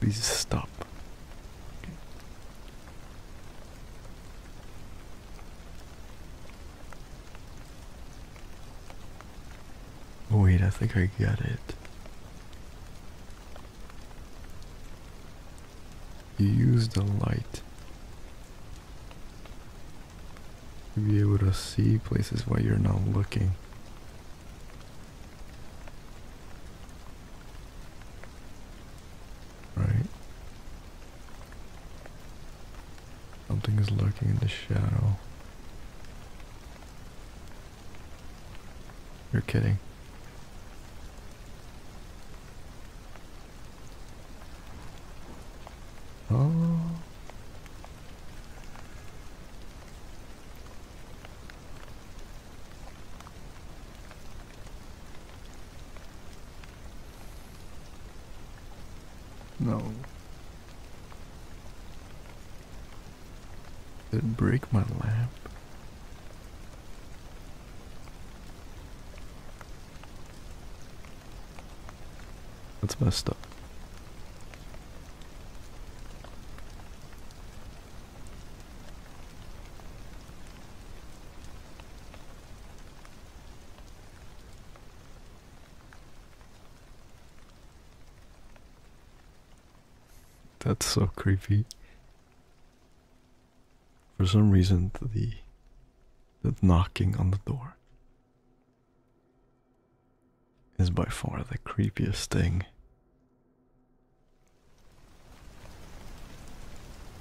Please stop. wait, I think I got it. You use the light to be able to see places where you're not looking. Right? Something is lurking in the shadow. You're kidding. Oh. No. Did break my lamp? That's messed up. That's so creepy. For some reason, the the knocking on the door is by far the creepiest thing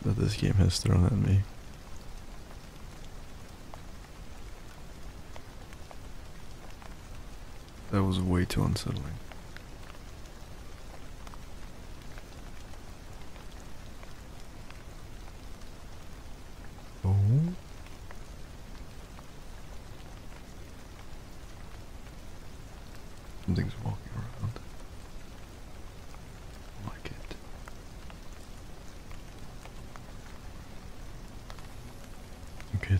that this game has thrown at me. That was way too unsettling. Oh. Something's walking around. I like it. Okay.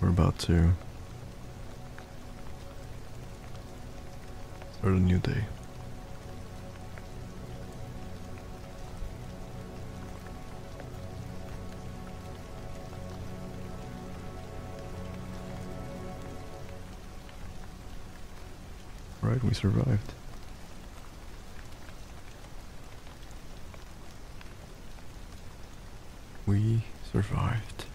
We're about to start a new day. Right, we survived. We survived.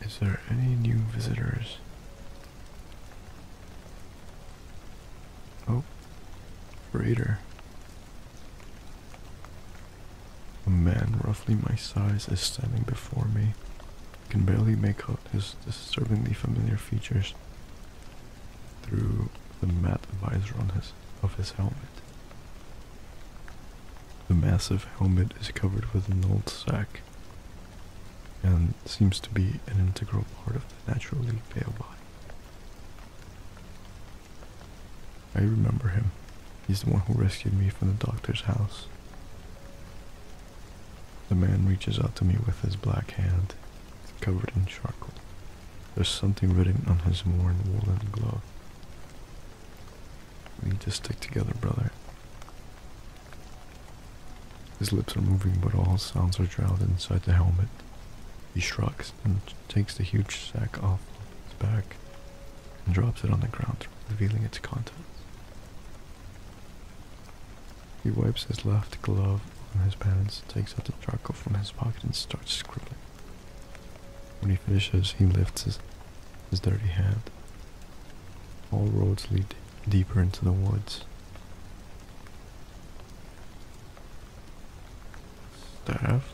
Is there any new visitors? Oh, raider. A man roughly my size is standing before me. I can barely make out his disturbingly familiar features through the matte visor on his of his helmet. The massive helmet is covered with an old sack and seems to be an integral part of the naturally pale body. I remember him. He's the one who rescued me from the doctor's house. The man reaches out to me with his black hand, covered in charcoal. There's something written on his worn woolen glove. We need stick together, brother. His lips are moving, but all sounds are drowned inside the helmet. He shrugs and takes the huge sack off his back and drops it on the ground, revealing its contents. He wipes his left glove on his pants, takes out the charcoal from his pocket, and starts scribbling. When he finishes, he lifts his, dirty hand. All roads lead deeper into the woods. Staff.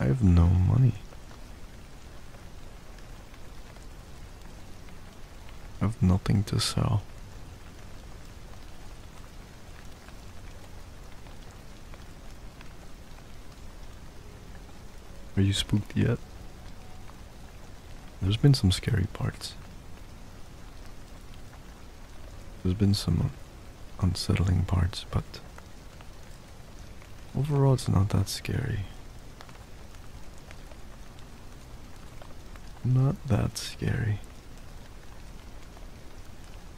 I have no money. I have nothing to sell. Are you spooked yet? There's been some scary parts. There's been some unsettling parts, but overall it's not that scary. Not that scary.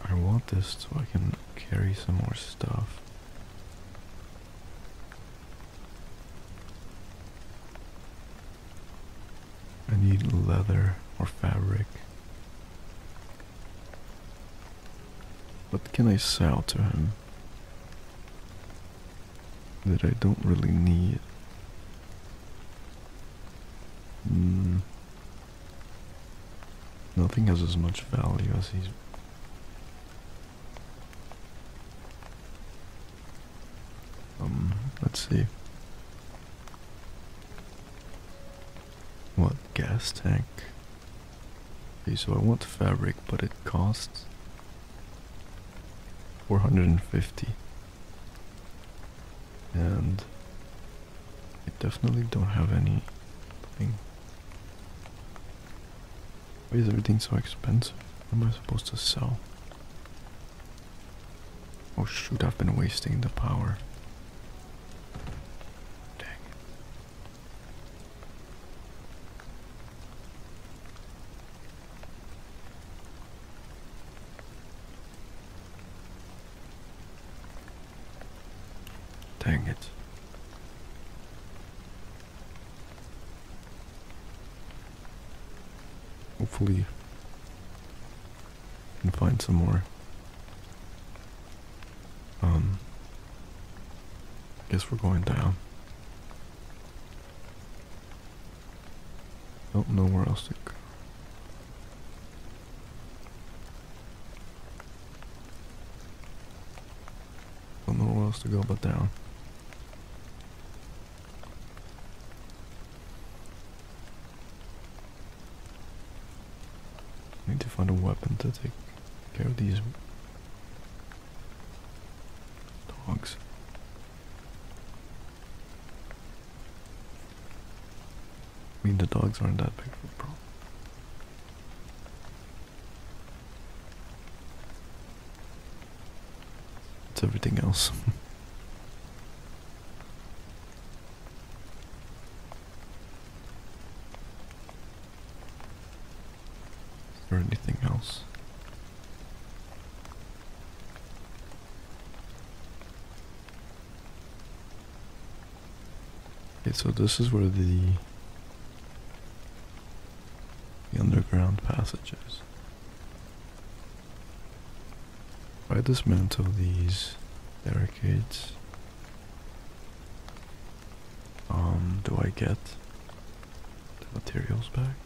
I want this so I can carry some more stuff. I need leather or fabric. What can I sell to him that I don't really need? Mm, Nothing has as much value as he's. Um, let's see. What gas tank? Okay, so I want fabric, but it costs 450. And I definitely don't have anything. Why is everything so expensive? am I supposed to sell? Oh shoot, I've been wasting the power. Dang. Dang it. Hopefully, I can find some more. Um, I guess we're going down. Don't know where else to go. I Don't know where else to go but down. Need to find a weapon to take care of these dogs. I mean, the dogs aren't that big of a problem. It's everything else. or (laughs) anything else. Okay, so this is where the the underground passages. is. I dismantle these barricades. Um, do I get the materials back?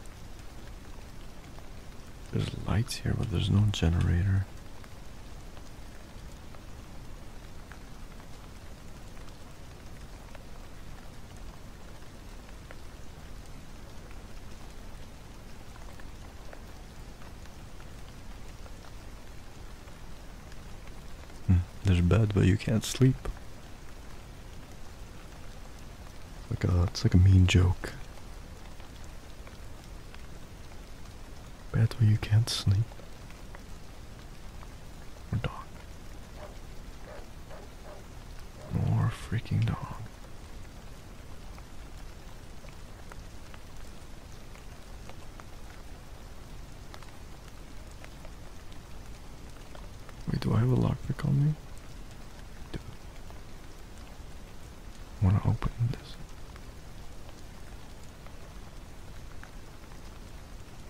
There's lights here, but there's no generator. Hmm, there's bed, but you can't sleep. Like a, it's like a mean joke bed where you can't sleep. Or dog. More freaking dog. Wait, do I have a lockpick on me? Do want to open this?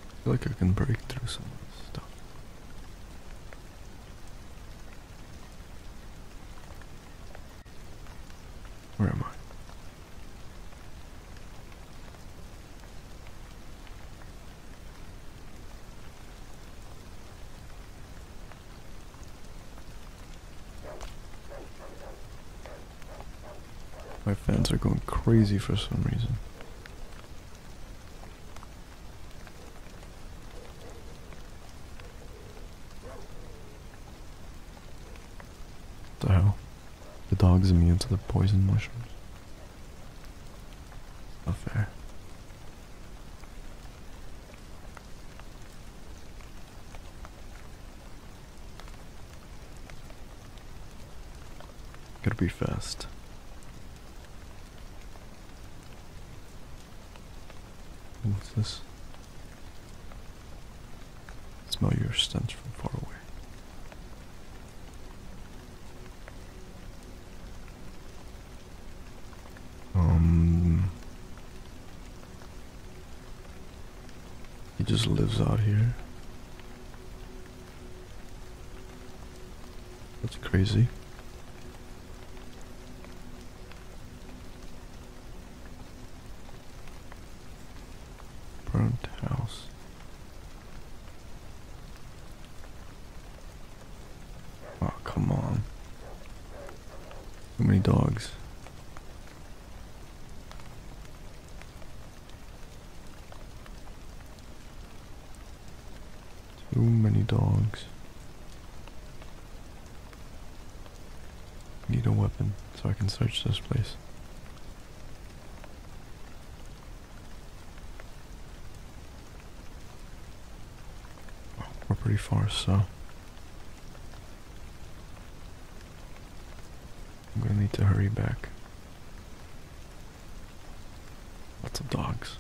I feel like I can break through some stuff. Where am I? My fans are going crazy for some reason. What the hell? The dog's immune to the poison mushrooms. Not fair. Gotta be fast. What's this? Smell your stench from far away. Um, he just lives out here. That's crazy. Burnt house. Oh, come on. How many dogs? Too many dogs. Need a weapon so I can search this place. We're pretty far, so. I'm gonna need to hurry back. Lots of dogs.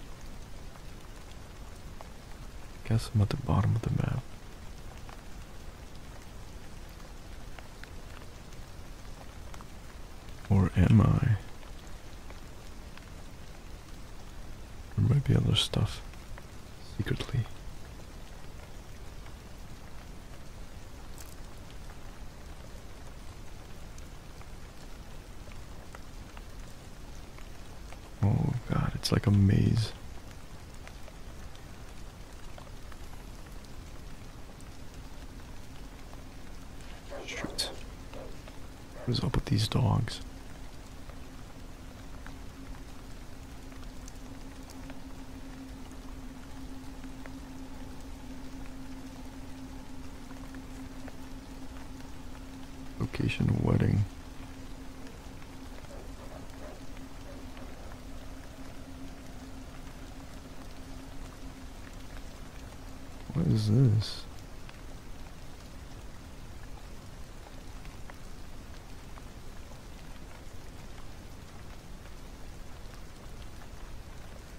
Guess I'm at the bottom of the map. Or am I? There might be other stuff secretly. Oh god, it's like a maze. Shoot. What is up with these dogs? Location wedding. What is this?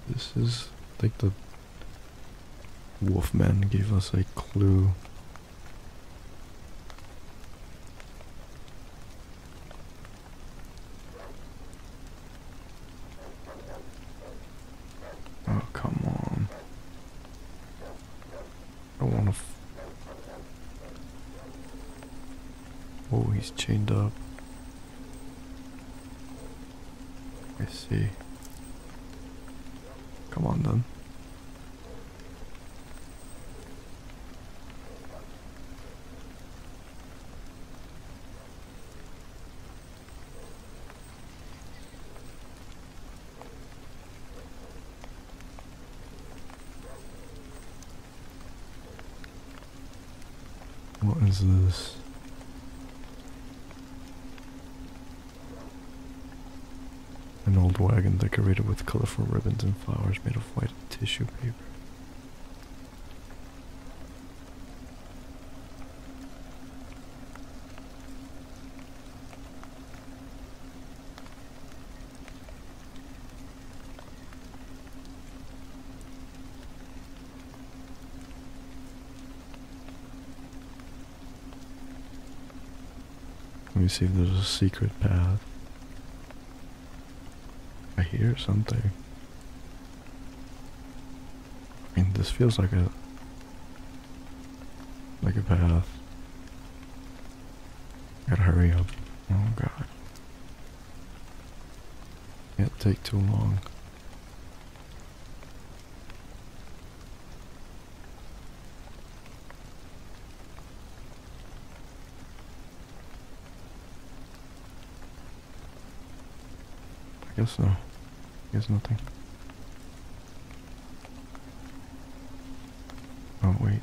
This is like the Wolfman gave us a clue. Oh, come on. I want to. Oh, he's chained up. I see. Come on then. What is this? An old wagon decorated with colorful ribbons and flowers made of white tissue paper. Let me see if there's a secret path. I hear something. I mean, this feels like a... Like a path. Gotta hurry up. Oh god. Can't take too long. I guess so. I guess nothing. Oh, wait.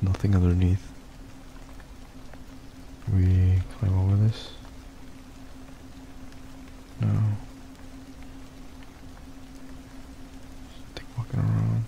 Nothing underneath. We climb over this. No. Just walking around.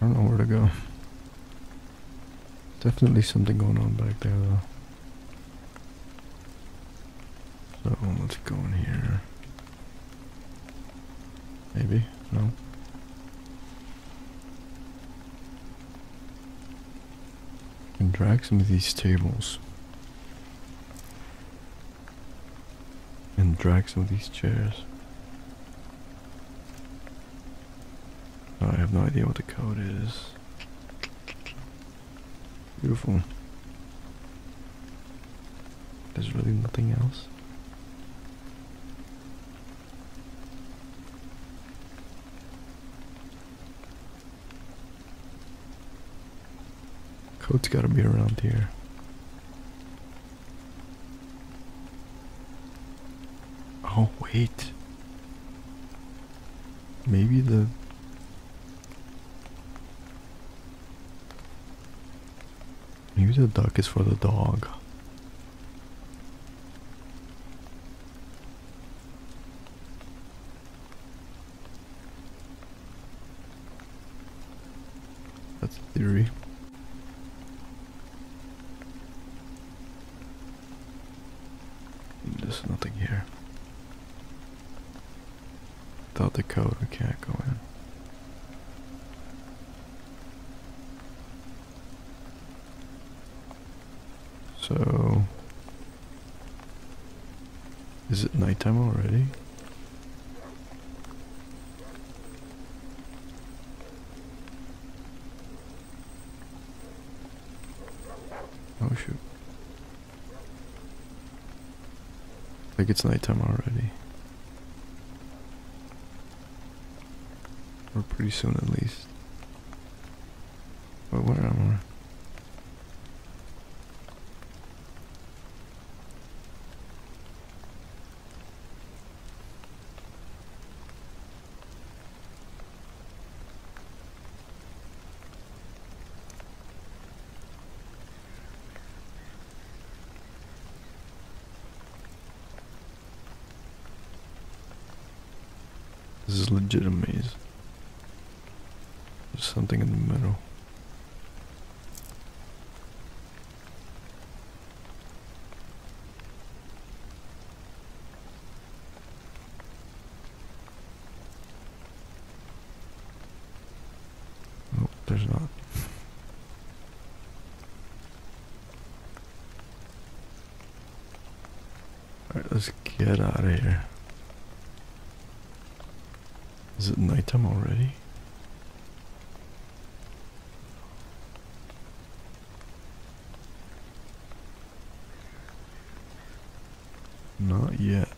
I don't know where to go. Definitely something going on back there though. So let's go in here. Maybe? No? And drag some of these tables. And drag some of these chairs. I have no idea what the code is. Beautiful. There's really nothing else. Code's gotta be around here. Oh, wait. Maybe the Maybe the duck is for the dog. That's a theory. There's nothing here. Without the code, we can't go in. So, is it nighttime already? Oh shoot. I think it's nighttime already. Or pretty soon at least. Wait, what am I? This is legit a There's something in the middle. Nope, there's not. Alright, let's get out of here. Is it nighttime already? Not yet.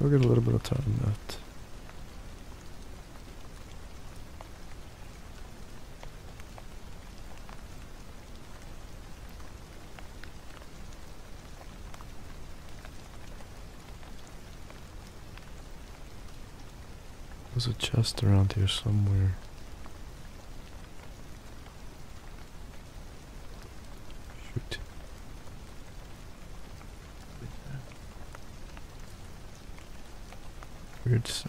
We'll get a little bit of time that. There's a chest around here somewhere. Shoot. Weird sound.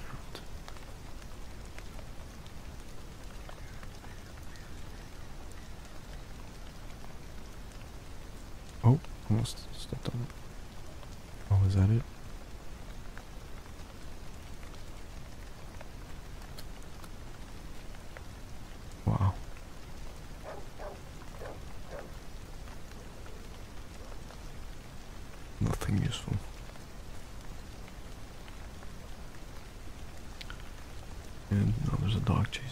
Oh, almost stepped on it. Oh, is that it? Wow. Nothing useful. And now there's a dog chasing.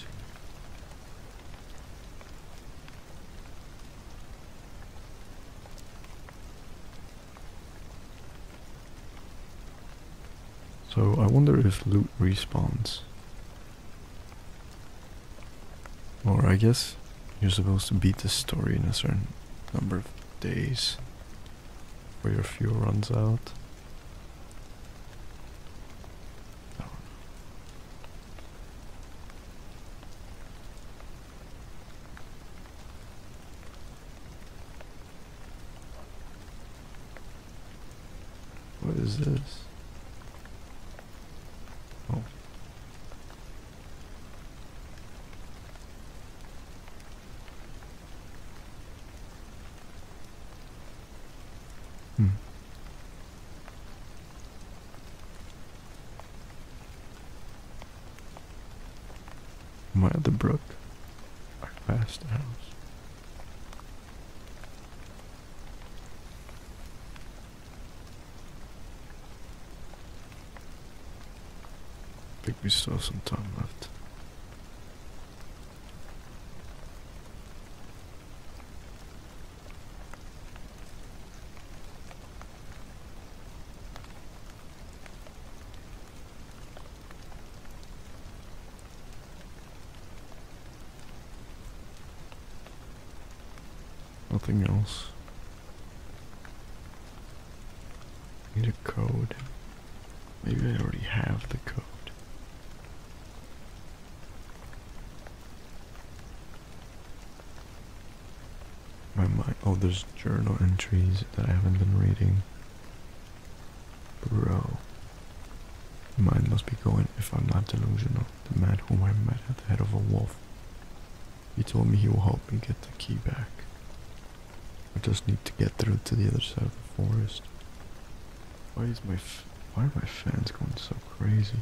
So I wonder if loot respawns. Or I guess you're supposed to beat the story in a certain number of days where your fuel runs out. What is this? Oh. Hmm. Why the brook? Our past house. I think we still have some time left. Nothing else. Need a code. Maybe I already have the code. My mind. Oh, there's journal entries that I haven't been reading. Bro. Mine must be going if I'm not delusional. The man who I met at the head of a wolf. He told me he will help me get the key back. I just need to get through to the other side of the forest. Why is my why are my fans going so crazy?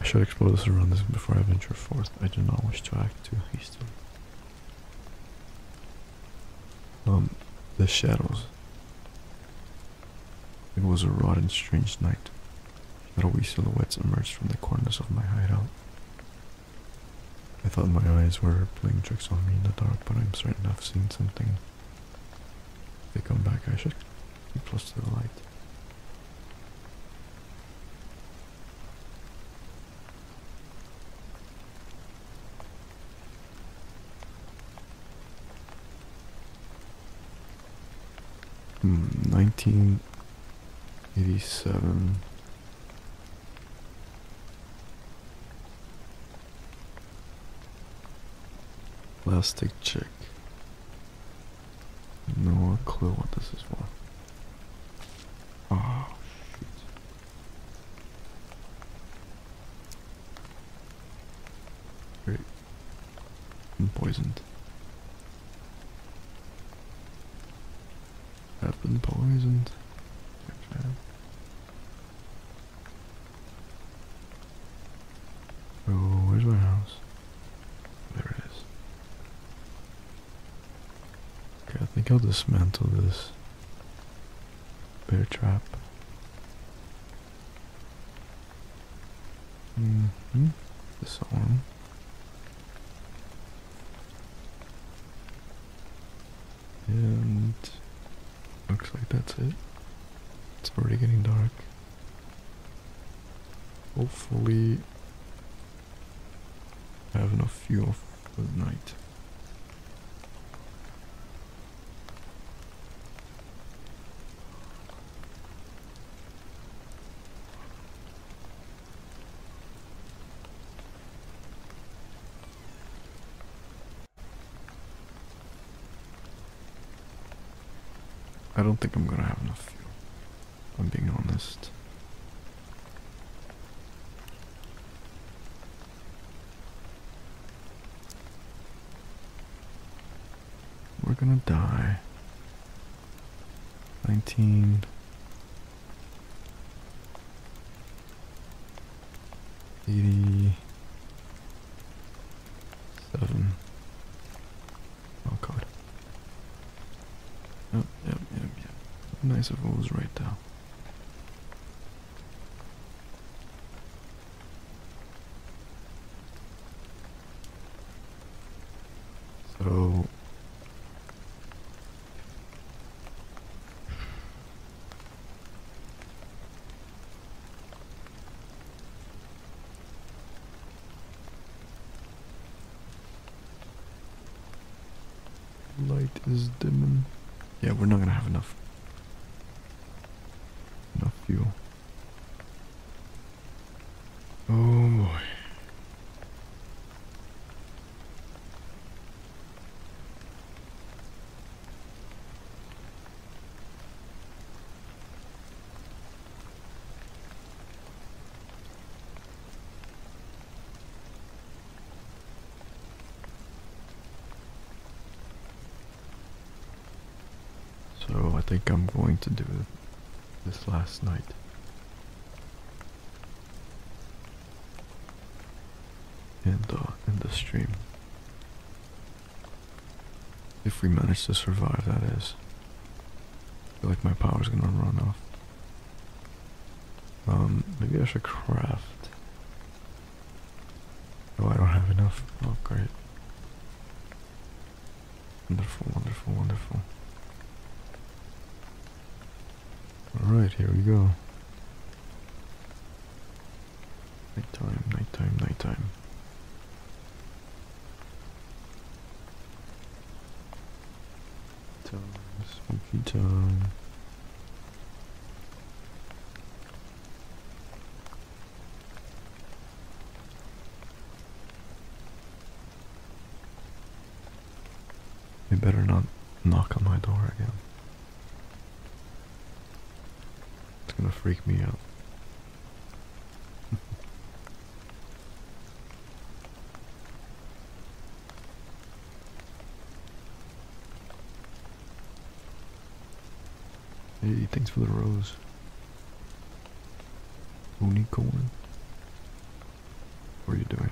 I should explore this around this before I venture forth. I do not wish to act too hastily. Um, the shadows. It was a raw and strange night. Shadowy silhouettes emerged from the corners of my hideout. I thought my eyes were playing tricks on me in the dark, but I'm certain I've seen something. If they come back, I should be close to the light. 1987 hmm, Plastic chick. No clue what this is for. Oh, shit. Great. I'm poisoned. I've been poisoned. Oh, where's my house? There it is. Okay, I think I'll dismantle this bear trap. Mm hmm and looks like that's it. It's already getting dark. Hopefully, I have enough fuel for the night. I don't think I'm gonna have enough fuel. I'm being honest. We're gonna die. 19 Eighty-seven. Oh god. Yep, yep, yep, yep. Nice if it was right there. So Light is dimming. Yeah, we're not gonna have enough enough fuel. Oh boy. So I think I'm going to do this last night in the in the stream. If we manage to survive, that is. I feel like my power's gonna run off. Um, maybe I should craft. Oh, I don't have enough. Oh, great. Wonderful, wonderful, wonderful. Alright, here we go. Nighttime, nighttime, nighttime. Time, spooky time. You better not knock on my door again. It's gonna freak me out. (laughs) hey, thanks for the rose. Unicorn. What are you doing?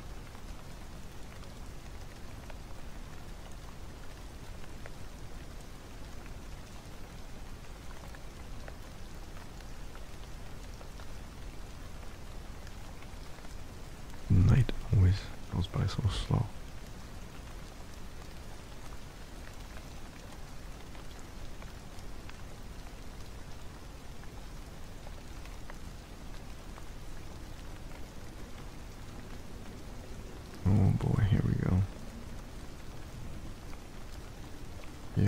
Night always goes by so slow. Oh boy, here we go.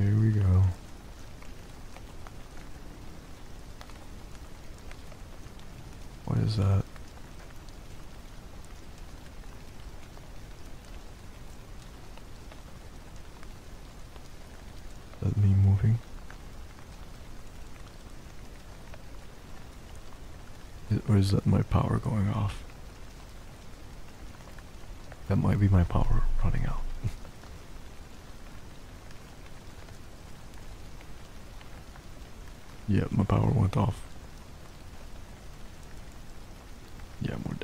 Here we go. What is that? that me moving? Or is that my power going off? That might be my power running out. (laughs) yep, my power went off. Yeah, more are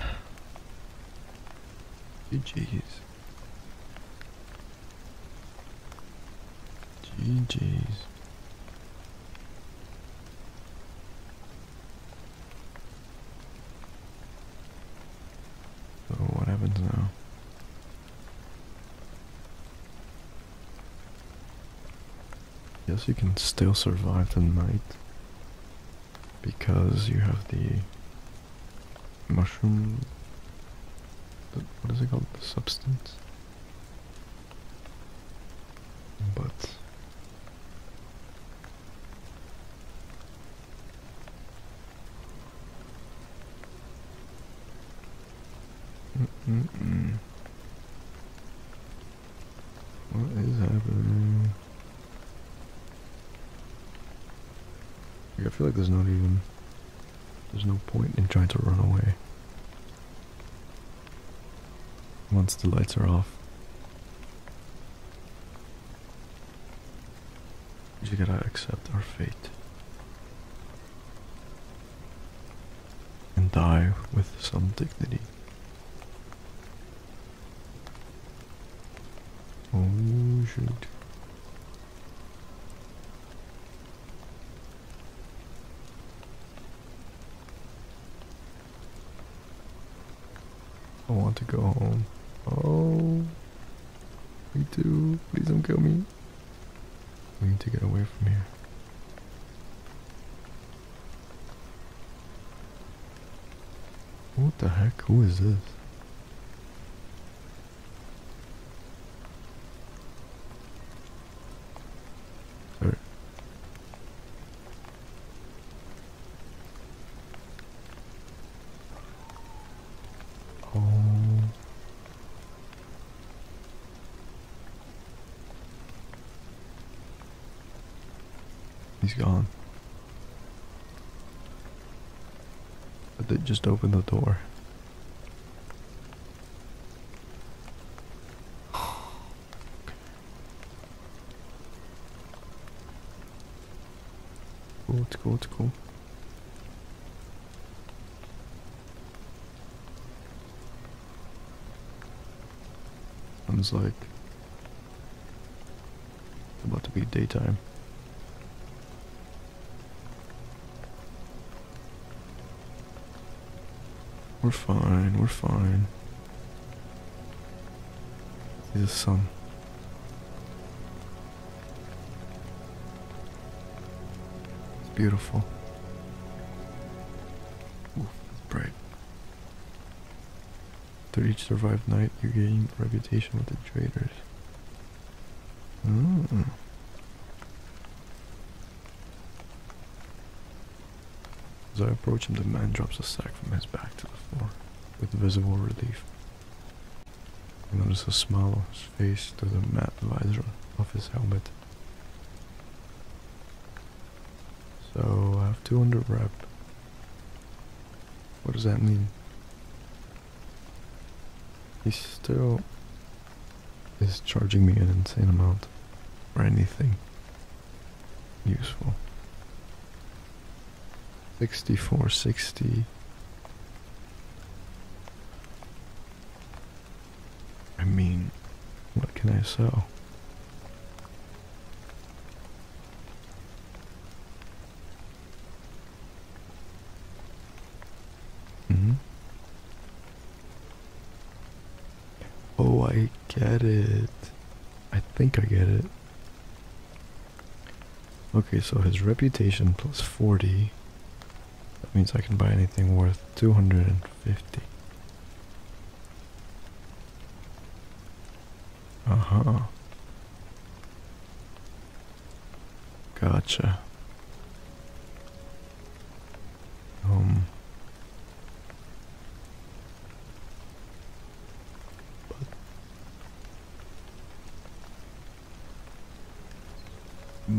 dead. (sighs) Jeez. GG's. So what happens now? Yes, you can still survive the night because you have the mushroom. What is it called? substance. But. What is happening? I feel like there's not even there's no point in trying to run away. Once the lights are off, we you gotta accept our fate and die with some dignity. Oh, shoot. I want to go home. Oh, me too. Please don't kill me. We need to get away from here. What the heck? Who is this? Oh. He's gone. they just opened the door cool, it's cool, it's cool. I'm Sounds like about to be daytime. We're fine, we're fine. See a sun. It's beautiful. Ooh, bright. After each survived night, you are gaining reputation with the traders. As I approach him, the man drops a sack from his back to the floor with visible relief. I notice a smile on his face through the matte visor of his helmet. So I have 200 rep. What does that mean? He still is charging me an insane amount for anything useful. 64, 60. I mean, what can I sell? hmm Oh, I get it. I think I get it. Okay, so his reputation plus 40. That means I can buy anything worth 250. Uh huh. Gotcha. Um.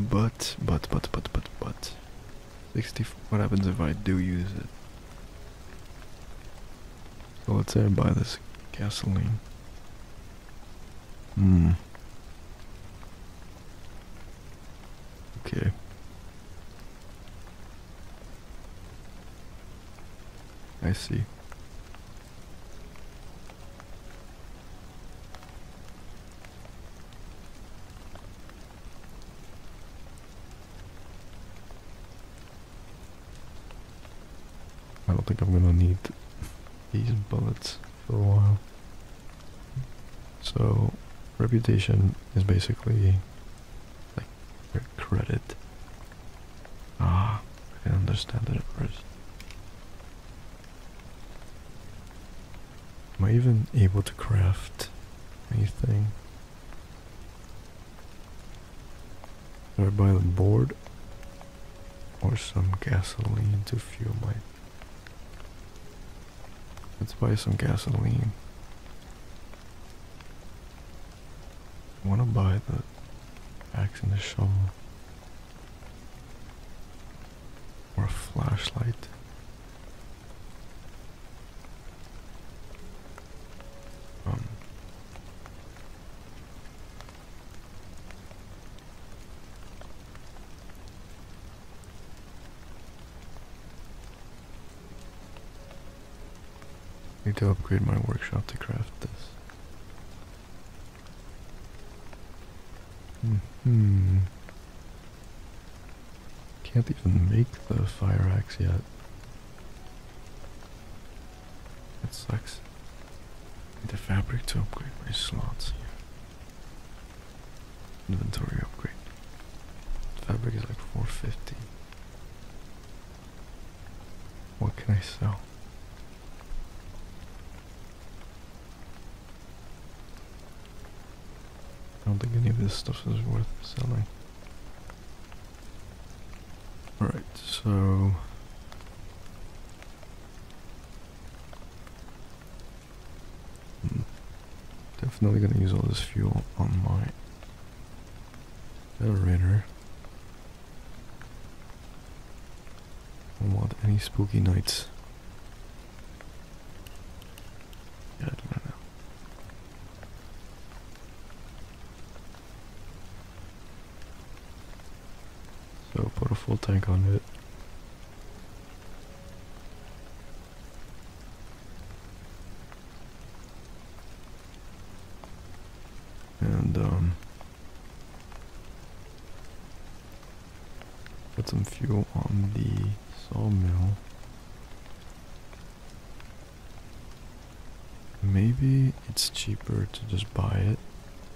But but but but but but Sixty. What happens if I do use it? So let's say I buy this gasoline. Hmm. Okay. I see. I don't think I'm gonna need these bullets for a while. So, reputation is basically like credit. Ah, I did understand it at first. Am I even able to craft anything? Should I buy the board or some gasoline to fuel my Let's buy some gasoline. want to buy the axe and the shovel. Or a flashlight. Um. Need to upgrade my workshop to craft this. Mm hmm. Can't even make the fire axe yet. It sucks. Need the fabric to upgrade my slots here. Inventory upgrade. Fabric is like 450. What can I sell? I don't think any of this stuff is worth selling. Alright, so... Definitely gonna use all this fuel on my generator. Don't want any spooky nights. Yeah, I don't know. So put a full tank on it. And um, put some fuel on the sawmill. Maybe it's cheaper to just buy it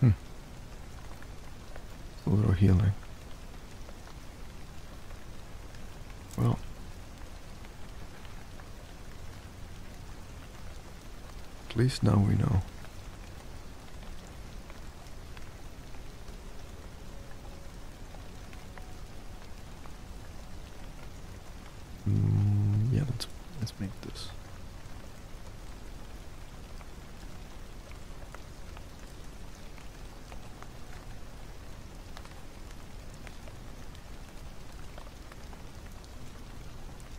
Hmm. It's a little healing. Well. At least now we know. Mm, yeah, let's let's make this.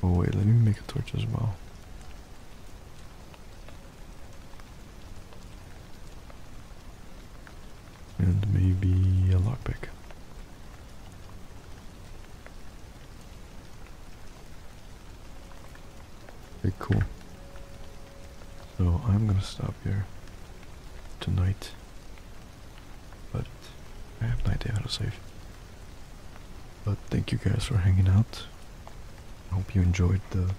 Oh wait, let me make a torch as well. And maybe a lockpick. Okay, cool. So I'm gonna stop here tonight. But I have no idea how to save. But thank you guys for hanging out. I hope you enjoyed the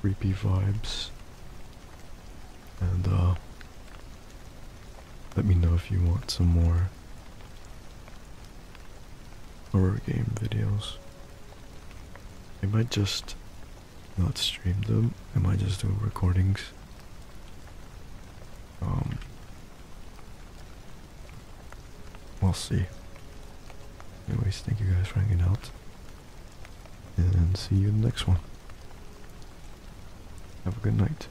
creepy vibes. And uh let me know if you want some more horror game videos. I might just not stream them. I might just do recordings. Um, we'll see. Anyways, thank you guys for hanging out. And see you in the next one. Have a good night.